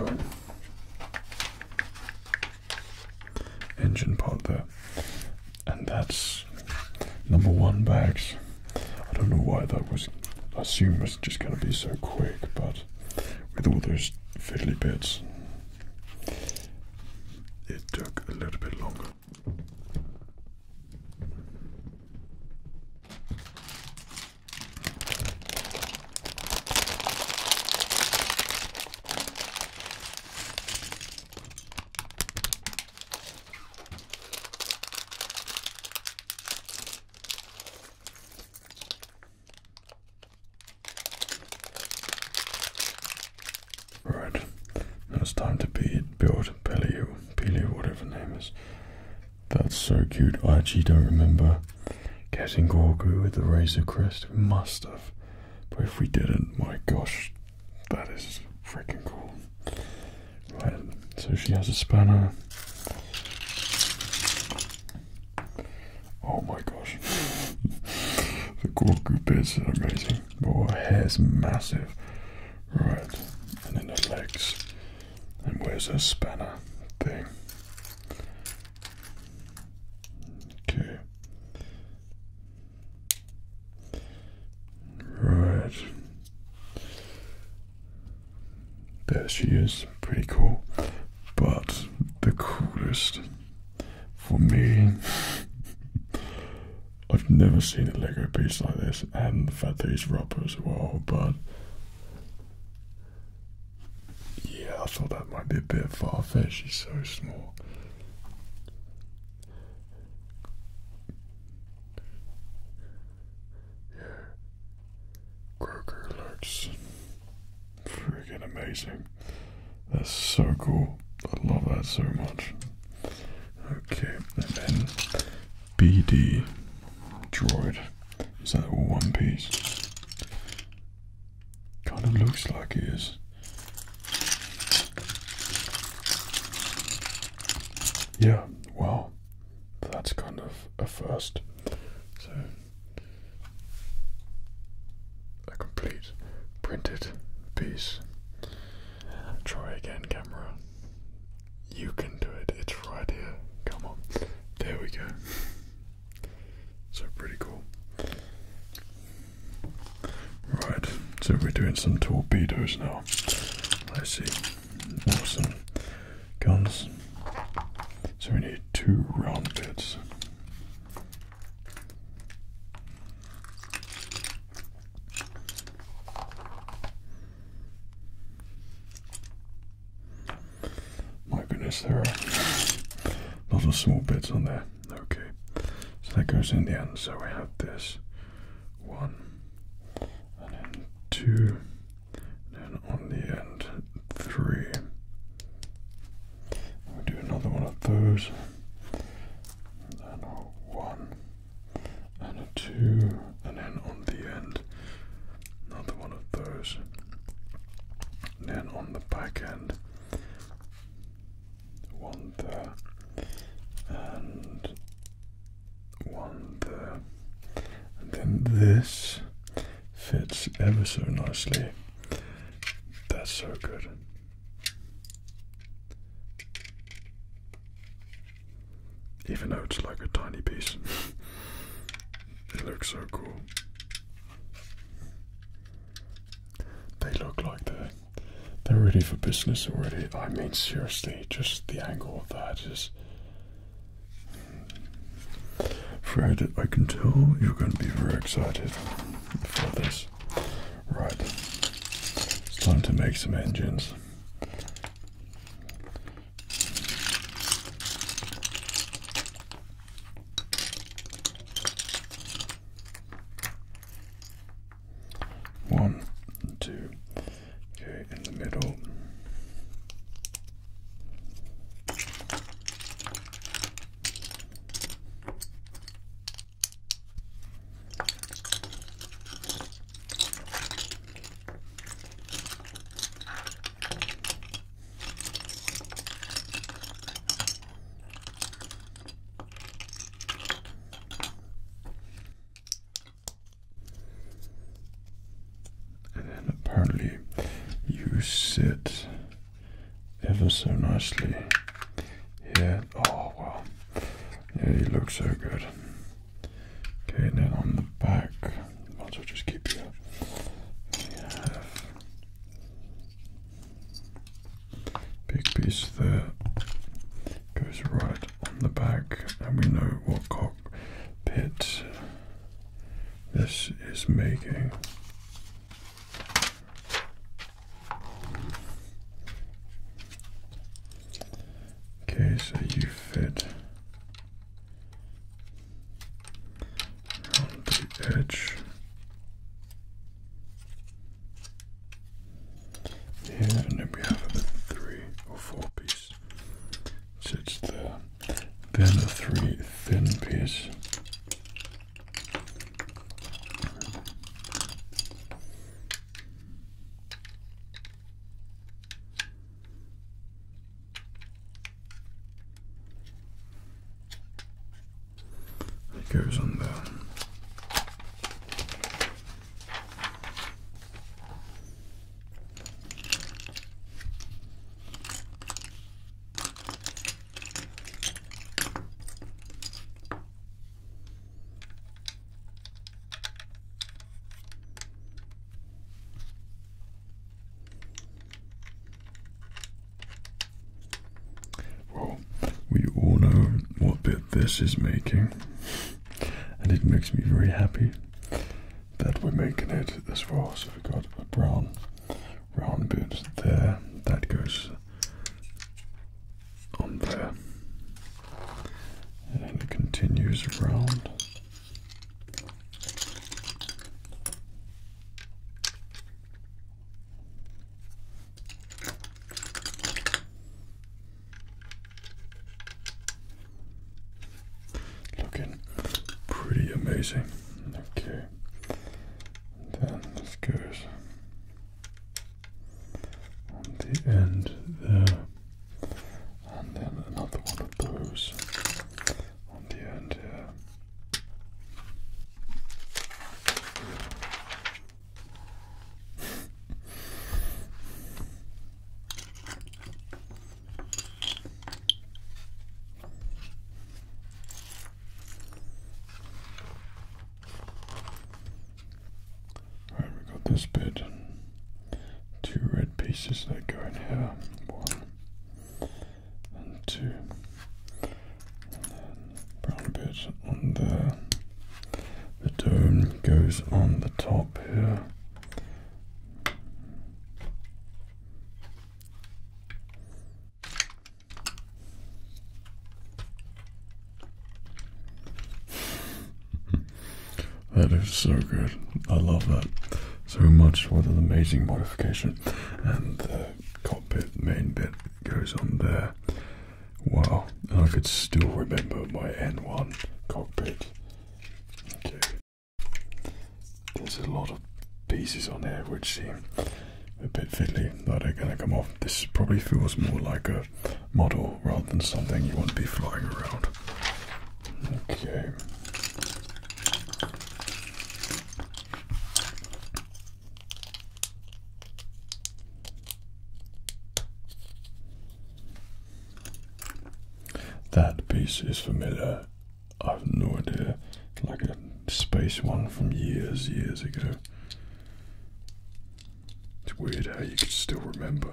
Um, engine part there and that's number one bags. I don't know why that was. I assume it's just going to be so quick, but with all those fiddly bits, it took a little bit longer. Right, now it's time to be build Pelio, Pelio, whatever name is. That's so cute. I actually don't remember getting Gorgu with the Razor Crest. We must have, but if we didn't, my gosh, that is freaking cool. Right, so she has a spanner. Oh my gosh. the Gorgu bits are amazing. Oh, her hair's massive. Right, and then the legs. And where's her spanner thing? Okay. Right. There she is, pretty cool. But the coolest for me, I've never seen a Lego piece like this, and the fact that he's rubber as well. But yeah, I thought that might be a bit far fetched. He's so small. Yeah. Croaker looks freaking amazing. That's so cool. I love that so much. Okay, then BD droid. Is that one piece? Kind of looks like it is yeah, well, that's kind of a first. So, a complete printed piece. Try again, camera. You can do it, it's right here. Come on. There we go. so, pretty cool. Right, so we're doing some torpedoes now. I see. Some Guns. So we need two round bits. My goodness, there are a lot of small bits on there. Okay, so that goes in the end. So we have this one, and then two, and then on the end, three. do another one of those, and then one, and a two, and then on the end, another one of those, then on the back end, one there, and one there. And then this fits ever so nicely. That's so good. Even though it's like a tiny piece, it looks so cool. They look like that they're ready for business already. I mean, seriously, just the angle of that is. Hmm. Fred, I can tell you're going to be very excited for this. Right, it's time to make some engines. One, two, okay, in the middle. And then apparently you sit ever so nicely here. Oh wow. Yeah, you look so good. Okay, and then on the back, I'll just keep you. Have big piece there goes right on the back, and we know what cockpit this is making. Okay, so you fit around the edge and then we have a three or four piece sits there. Then a three thin piece. It goes on there we all know what bit this is making and it makes me very happy that we're making it as far. So we've got a brown round bit there that goes on there, and it continues around. Looking pretty amazing. Okay. Then this goes on the end there. And then another one of those on the end here. Right, we got this bit. Two red pieces that go in here. One and two. brown bit on there. The dome goes on the top here that is so good. I love that so much. What an amazing modification! And the cockpit main bit goes on there. Wow, I could still remember my N1 cockpit there's a lot of pieces on here which seem a bit fiddly that are going to come off. This probably feels more like a model rather than something you want to be flying around. Okay. That piece is familiar. I've no idea. Like a space one from years, years ago. It's weird how you can still remember.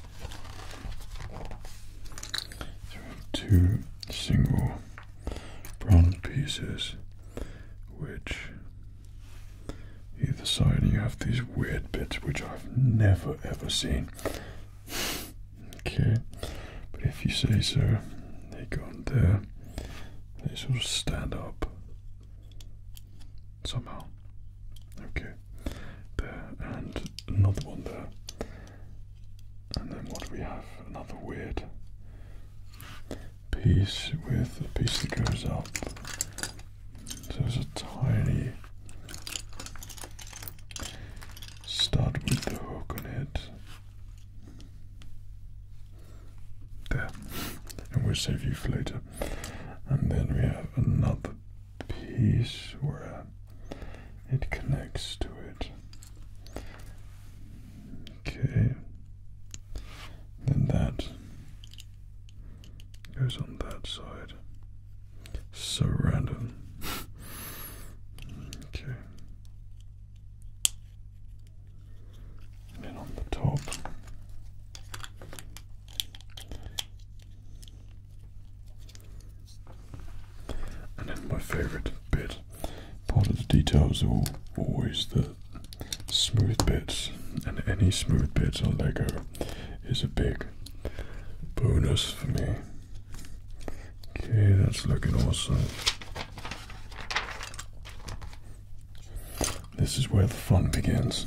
So we have two single brown pieces, which either side, you have these weird bits which I've never ever seen. Okay, but if you say so, they go on there, they sort of stand up somehow. Okay, there, and another one there. And then what do we have? Another weird piece with a piece that goes up. there's a tiny stud with the hook on it. There. And we'll save you for later. And then we have another piece where it connects to it. Okay, then that goes on that side. So random. okay. And then on the top, and then my favourite bit, part of the details are always the smooth bits, and any smooth bits on Lego is a big bonus for me. Okay, that's looking awesome. This is where the fun begins.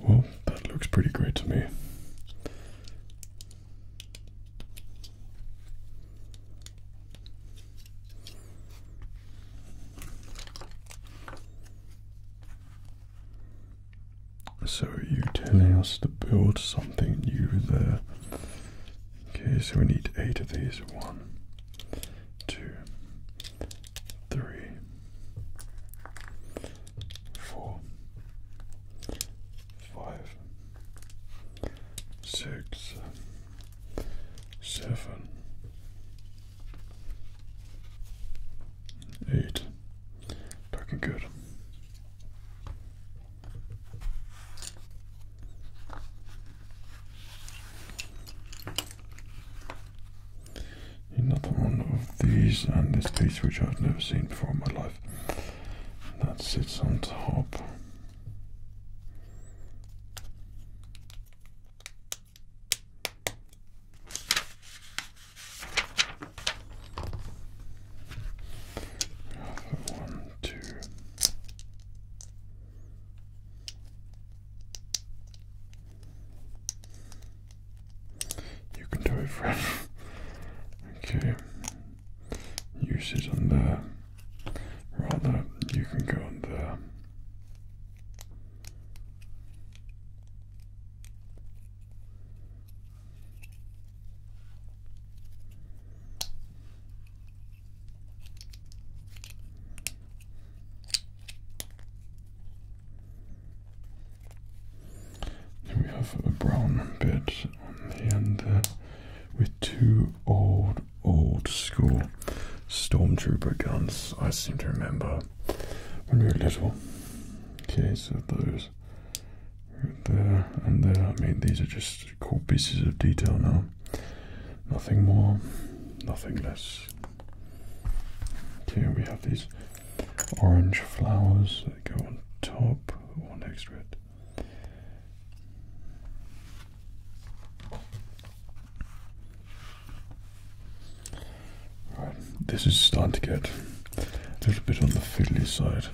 Well, that looks pretty great to me. So you're us to build something new there. Okay, so we need eight of these. One, two, three, four, five, six, seven, eight. Looking good. Another one of these and this piece which I've never seen before in my life that sits on top. One, two. You can do it, friend. okay. You sit on there. Rather, you can go in there we have a brown bit on the end there with two old, old school stormtrooper guns. I seem to remember when we were little. Okay, so those right there and there. I mean, these are just cool pieces of detail now. Nothing more, nothing less. Here we have these orange flowers that go on top or next to it. Right, this is starting to get a little bit on the fiddly side.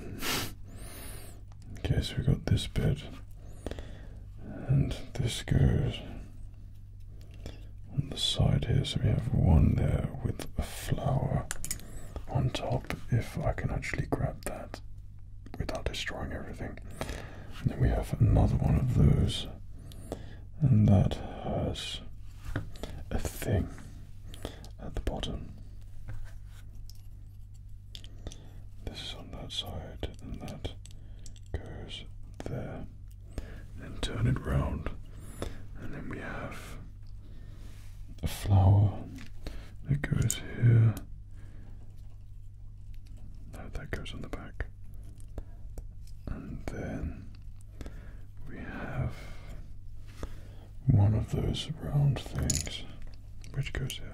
Okay, so we got this bit, and this goes on the side here. So we have one there with a flower on top if I can actually grab that without destroying everything. then we have another one of those, and that has a thing at the bottom. This is on that side, and that goes there. Then turn it round, and then we have the flower that goes here. No, that goes on the back. And then we have one of those round things which goes here.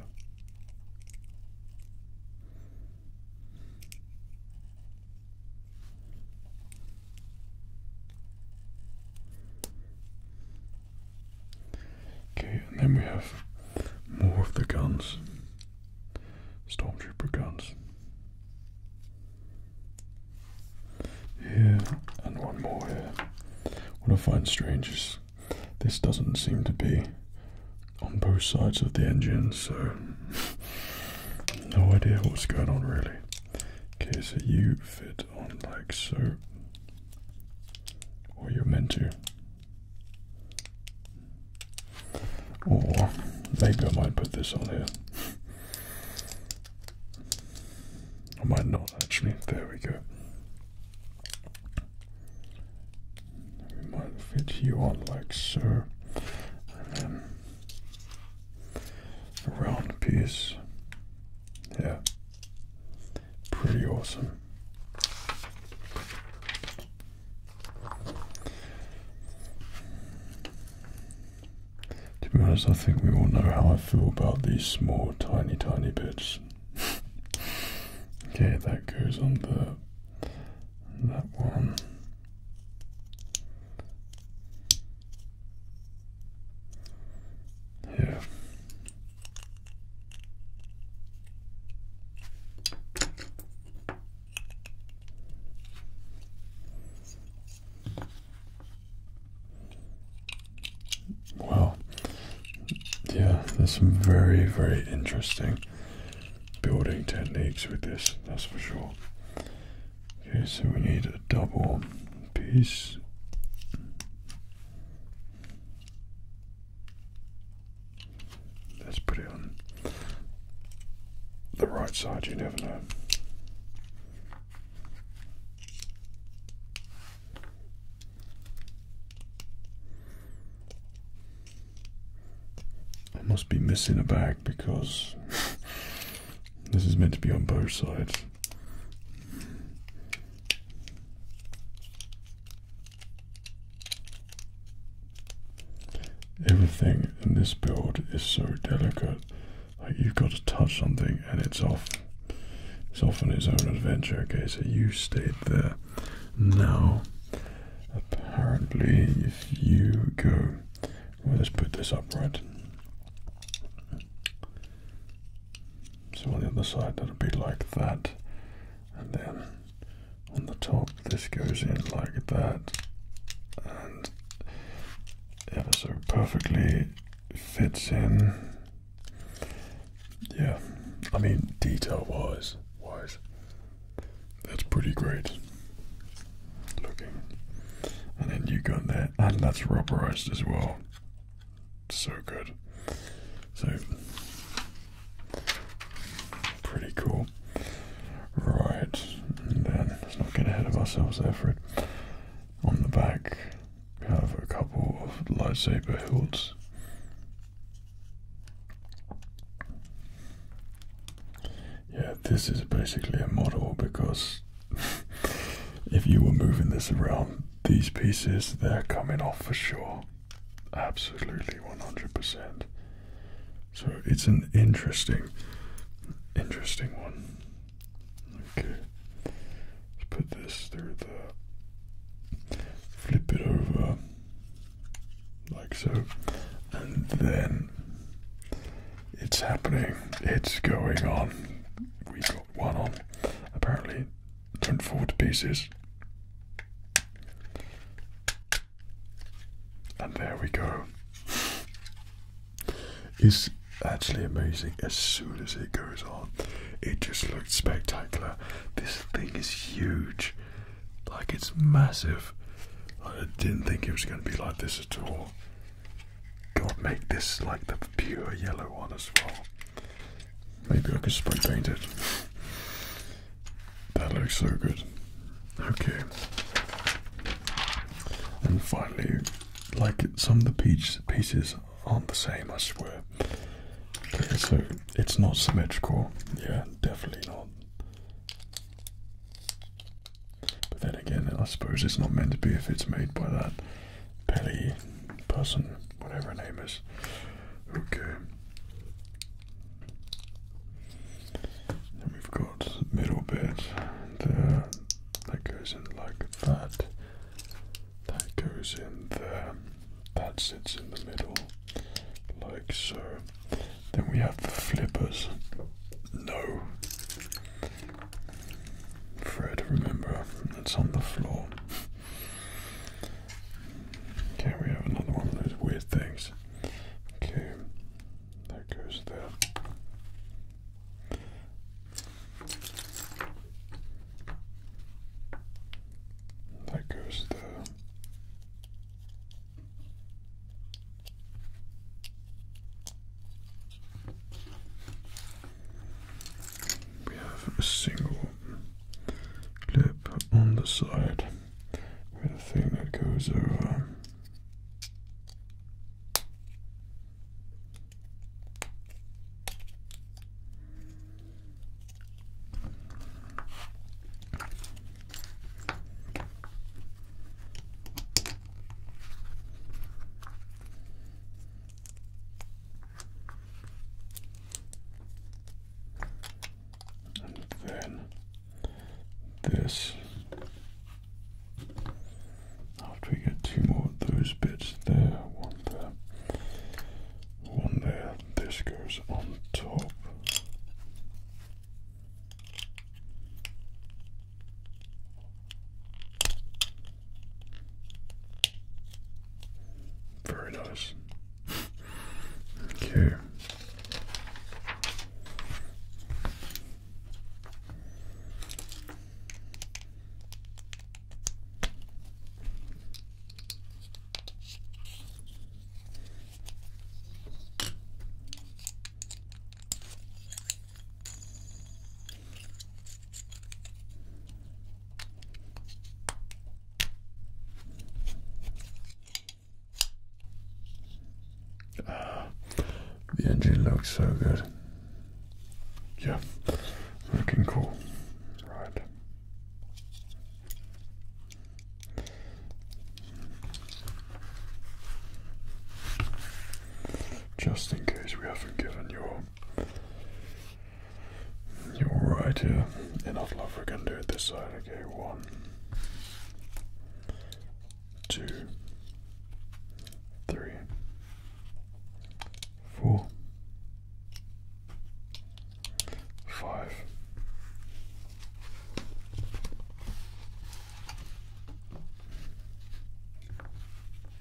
Okay, and then we have more of the guns. Stormtrooper guns. Here, and one more here. What I find strange is this doesn't seem to be on both sides of the engine, so no idea what's going on really. Okay, so you fit on like so. Or you're meant to. Or maybe I might put this on here. I might not actually. There we go. We might fit you on like so. And then a round piece. Yeah. Pretty awesome. To be honest, I think we all know how I feel about these small, tiny, tiny bits. okay, that goes on the that one. Yeah. Wow. Yeah, there's some very, very interesting building techniques with this, that's for sure. Okay, so we need a double Peace. Let's put it on the right side, you never know. I must be missing a bag because This is meant to be on both sides. Everything in this build is so delicate. Like you've got to touch something and it's off. It's off on its own adventure. Okay, so you stayed there. Now, apparently, if you go, let's put this upright. So on the other side that'll be like that. And then on the top this goes in like that. And ever so perfectly fits in. Yeah, I mean detail wise wise. That's pretty great looking. And then you go in there and that's rubberized as well so good. So pretty cool. Right, and then let's not get ahead of ourselves there, Fred. On the back, we have a couple of lightsaber hilts. Yeah, this is basically a model because if you were moving this around, these pieces, they're coming off for sure. Absolutely 100%. So it's an interesting, interesting one. Okay. put this through the. Flip it over. Like so. And then. It's happening. It's going on. We've one on. Apparently, don't fall to pieces. And there we go. It's actually amazing as soon as it goes on. It just looks spectacular. This thing is huge. Like it's massive. I didn't think it was going to be like this at all. God, make this like the pure yellow one as well. Maybe I could spray paint it. That looks so good. Okay. And finally, like some of the peach pieces aren't the same, I swear. Okay, so it's not symmetrical. Yeah, definitely not. But then again, I suppose it's not meant to be if it's made by that. Pelly person, whatever her name is. Okay. Then we've got middle bit there. That goes in like that. That goes in there. That sits in the middle, like so. Then we have the flippers. No. Fred, remember, it's on the floor. Okay, we have another one of those weird things. Okay, that goes there. goes there we have a single clip on the side with a thing that goes over and then this. After we get two more of those bits there, one there, one there, this goes on top. Very nice. okay the engine looks so good. Yeah, looking cool. Right. Just in case we haven't given your you're right here. Yeah. Enough love, we can do it this side. Okay, one, two, three, four, five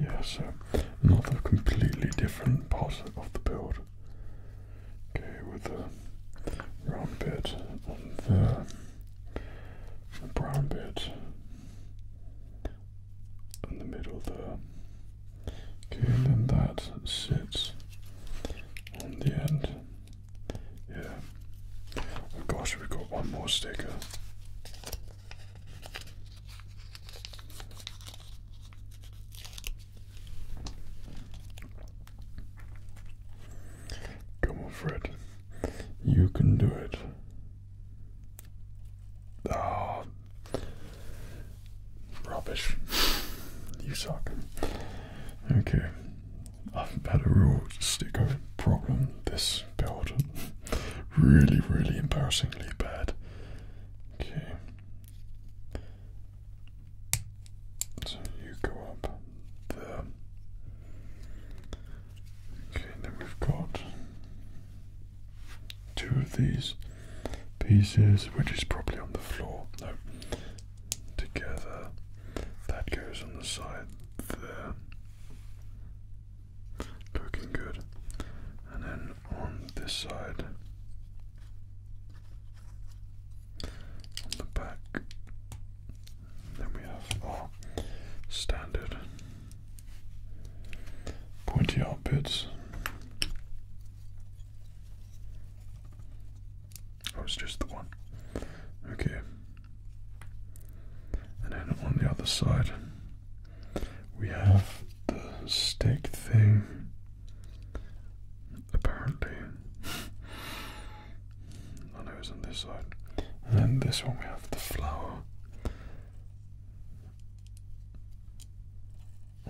yeah, so another completely different part of the build. Okay, with the round bit and the, brown bit in the middle there. Okay, and then that sits on the end. Yeah. Oh gosh, we've got one more sticker. Come on, Fred. You can do it. Ah, rubbish. you suck. Okay, I've had a real sticker problem this build. really, really embarrassingly bad. Okay, so you go up there. Okay, then we've got two of these pieces, which is probably on the floor. together. That goes on the side there. Looking good. And then on this side, on the back. Then we have our standard pointy out bits. Oh, just the one. Okay. And then on the other side, we have the stick thing, apparently. I know it's on this side. And this one we have the flower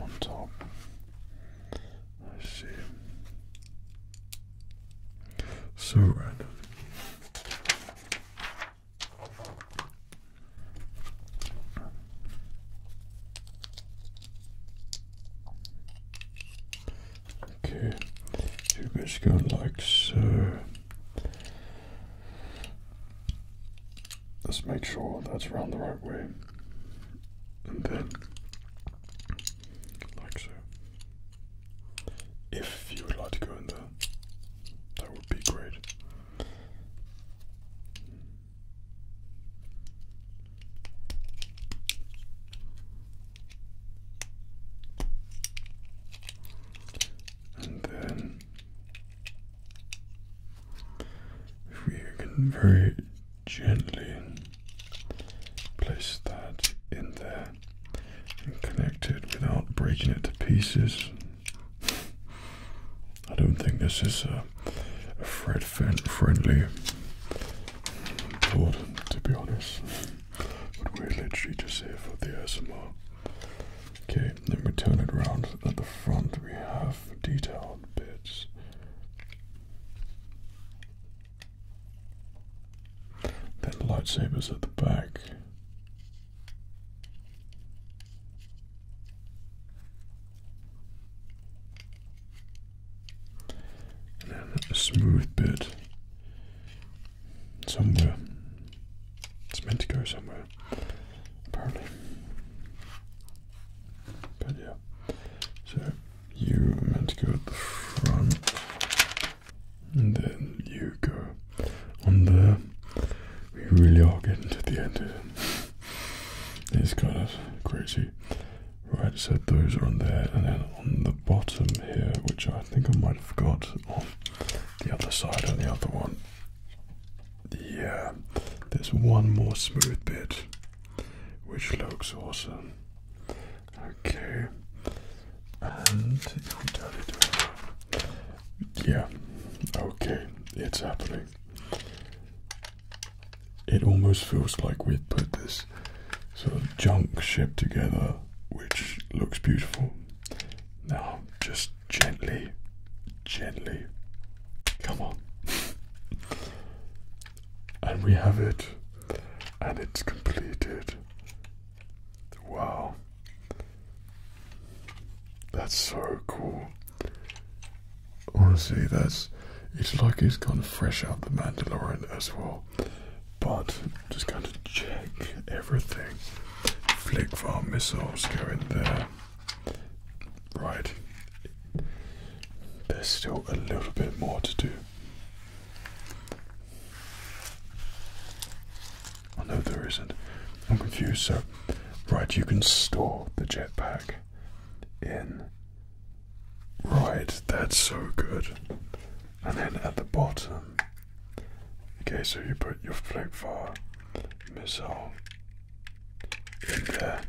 on top. I see. So random. Okay, you guys go like so. Let's make sure that's round the right way. And then, like so. If you would like to go in there, that would be great. And then if we can very gently place that in there and connect it without breaking it to pieces. I don't think this is a, a Fred friendly board, to be honest. But we're literally just here for the ASMR. Okay, then we turn it around. At the front, we have detailed bits. Then lightsabers at the back smooth bit somewhere. It's meant to go somewhere, apparently. But yeah, so you are meant to go at the front, and then you go on there. We really are getting to the end here. These kind of crazy. Right, so those are on there, and then on the bottom here, which I think I might have got on the other side on the other one. Yeah, there's one more smooth bit, which looks awesome. Okay, and yeah, okay, it's happening it almost feels like we've put this sort of junk ship together, which looks beautiful. Now, just gently, gently, come on. and we have it, and it's completed. Wow. That's so cool honestly, that's it's like he's gone fresh out the Mandalorian as well. But just kind of check everything. Flick farm missiles go in there. Right. There's still a little bit more to do. I oh, know there isn't. I'm confused. So, right, you can store the jetpack in. Right, that's so good. And then at the bottom, okay, so you put your flak fire missile in there,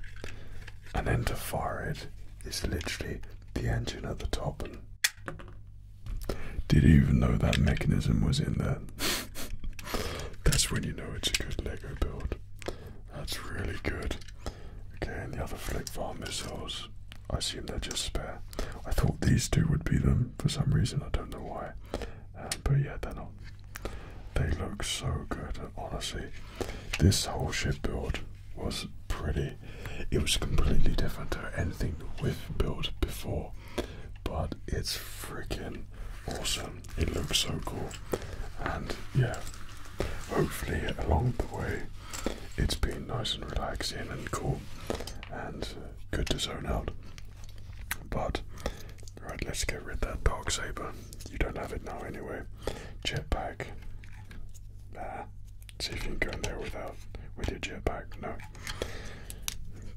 and then to fire is literally the engine at the top. Did even know that mechanism was in there? that's when you know it's a good Lego build. That's really good. Okay, and the other flick fire missiles. I assume they're just spare. I thought these two would be them for some reason. I don't know why. Um, but yeah, they're not. They look so good. honestly, this whole ship build was pretty. It was completely different to anything we've built before. But it's freaking awesome it looks so cool. And yeah, hopefully along the way it's been nice and relaxing and cool and uh, good to zone out. But right, let's get rid of that dark saber. You don't have it now anyway. Jetpack. Nah. See if you can go in there without with your jetpack. No.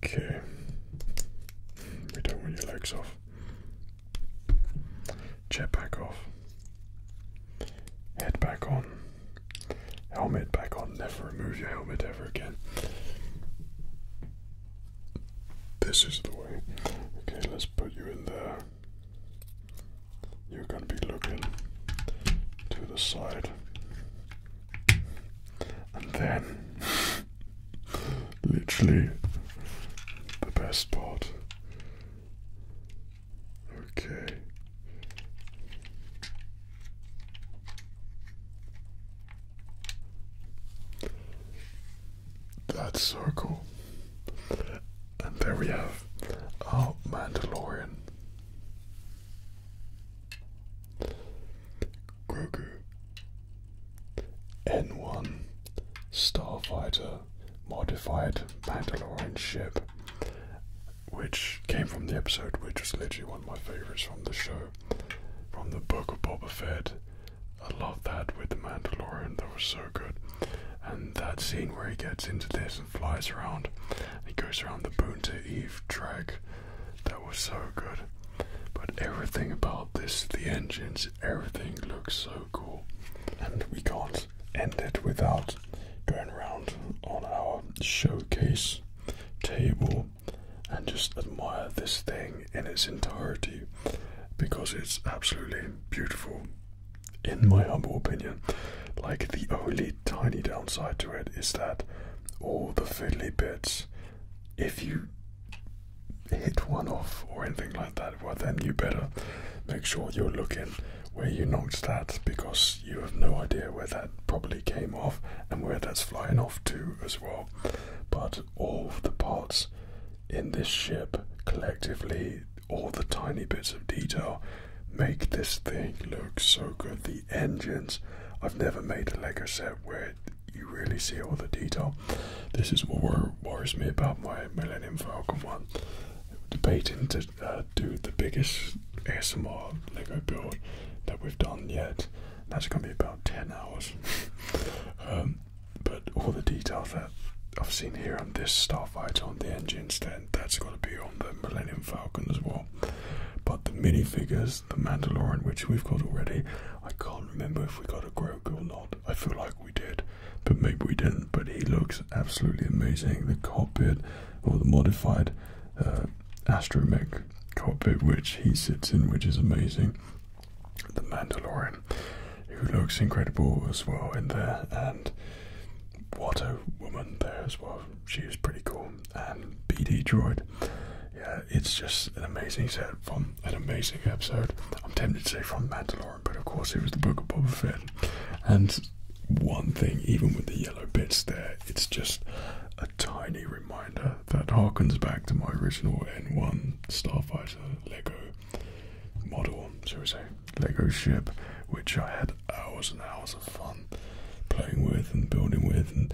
Okay. We don't want your legs off. Jetpack off. Head back on. Helmet back on. Never remove your helmet ever again. This is the way. Okay, let's put you in there. You're going to be looking to the side. And then Literally the best part. Okay. That's so cool. And there we have our Mandalorian. Grogu N1 Starfighter modified Mandalorian ship, which came from the episode, which is literally one of my favorites from the show, from the book of Boba Fett. I love that with the Mandalorian, that was so good. And that scene where he gets into this and flies around, he goes around the Boonta Eve drag. that was so good. But everything about this, the engines, everything looks so and we can't end it without going around on our showcase table and just admire this thing in its entirety because it's absolutely beautiful, in my humble opinion. Like, the only tiny downside to it is that all the fiddly bits, if you hit one off or anything like that, well, then you better make sure you're looking where you knocked that because you have no idea where that probably came off and where that's flying off to as well. But all the parts in this ship collectively, all the tiny bits of detail, make this thing look so good. The engines, I've never made a Lego set where you really see all the detail. This is what worries me about my Millennium Falcon one, debating to uh, do the biggest ASMR Lego build that we've done yet. That's going to be about 10 hours. Um, but all the details that I've seen here on this starfighter, on the engines, then that's going to be on the Millennium Falcon as well. But the minifigures, the Mandalorian, which we've got already, I can't remember if we got a Grogu or not. I feel like we did, but maybe we didn't. But he looks absolutely amazing. The cockpit, or the modified uh, astromech cockpit, which he sits in, which is amazing. The Mandalorian, who looks incredible as well in there, and what a woman there as well. She is pretty cool. And BD Droid, yeah, it's just an amazing set from an amazing episode. I'm tempted to say from Mandalorian, but of course it was the Book of Boba Fett. And one thing, even with the yellow bits there, it's just a tiny reminder that harkens back to my original N1 Starfighter Lego model, shall we say, Lego ship, which I had hours and hours of fun playing with and building with and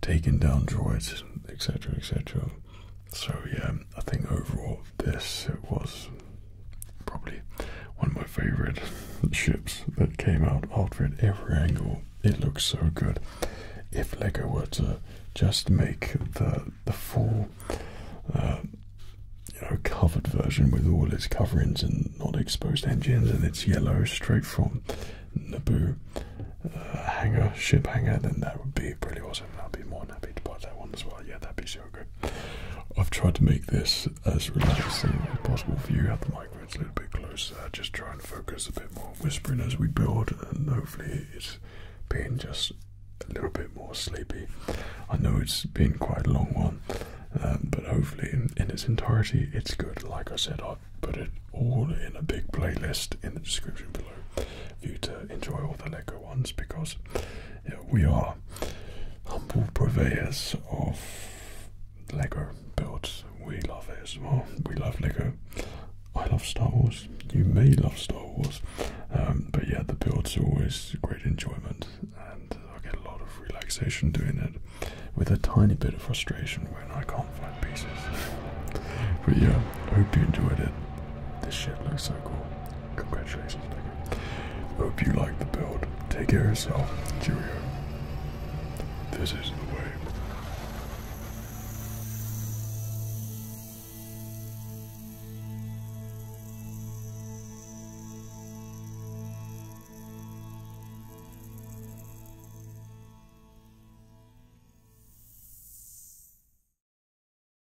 taking down droids, etc., etc. So yeah, I think overall this it was probably one of my favorite ships that came out after every angle. It looks so good. If Lego were to just make the the full uh, you know covered version with all its coverings and not exposed engines and it's yellow straight from Naboo uh, hangar ship hangar, then that would be pretty awesome. I'd be more than happy to buy that one as well. Yeah, that'd be is I've tried to make this as relaxing as possible for you. Have the microphone, it's a little bit closer. Just try and focus a bit more whispering as we build, and hopefully it's been just a little bit more sleepy. I know it's been quite a long one, um, but hopefully in, in its entirety it's good. Like I said, I've put it all in a big playlist in the description below for you to enjoy all the Lego ones because we are humble purveyors of Lego builds. We love ASMR, we love Lego. I love Star Wars, you may love Star Wars, um, but yeah, the builds are always great enjoyment and I get a lot of relaxation doing it with a tiny bit of frustration when I can't find pieces. but yeah, I hope you enjoyed it. This shit looks so cool. Congratulations, Digger. Hope you like the build. Take care of yourself. Cheerio. This is the way.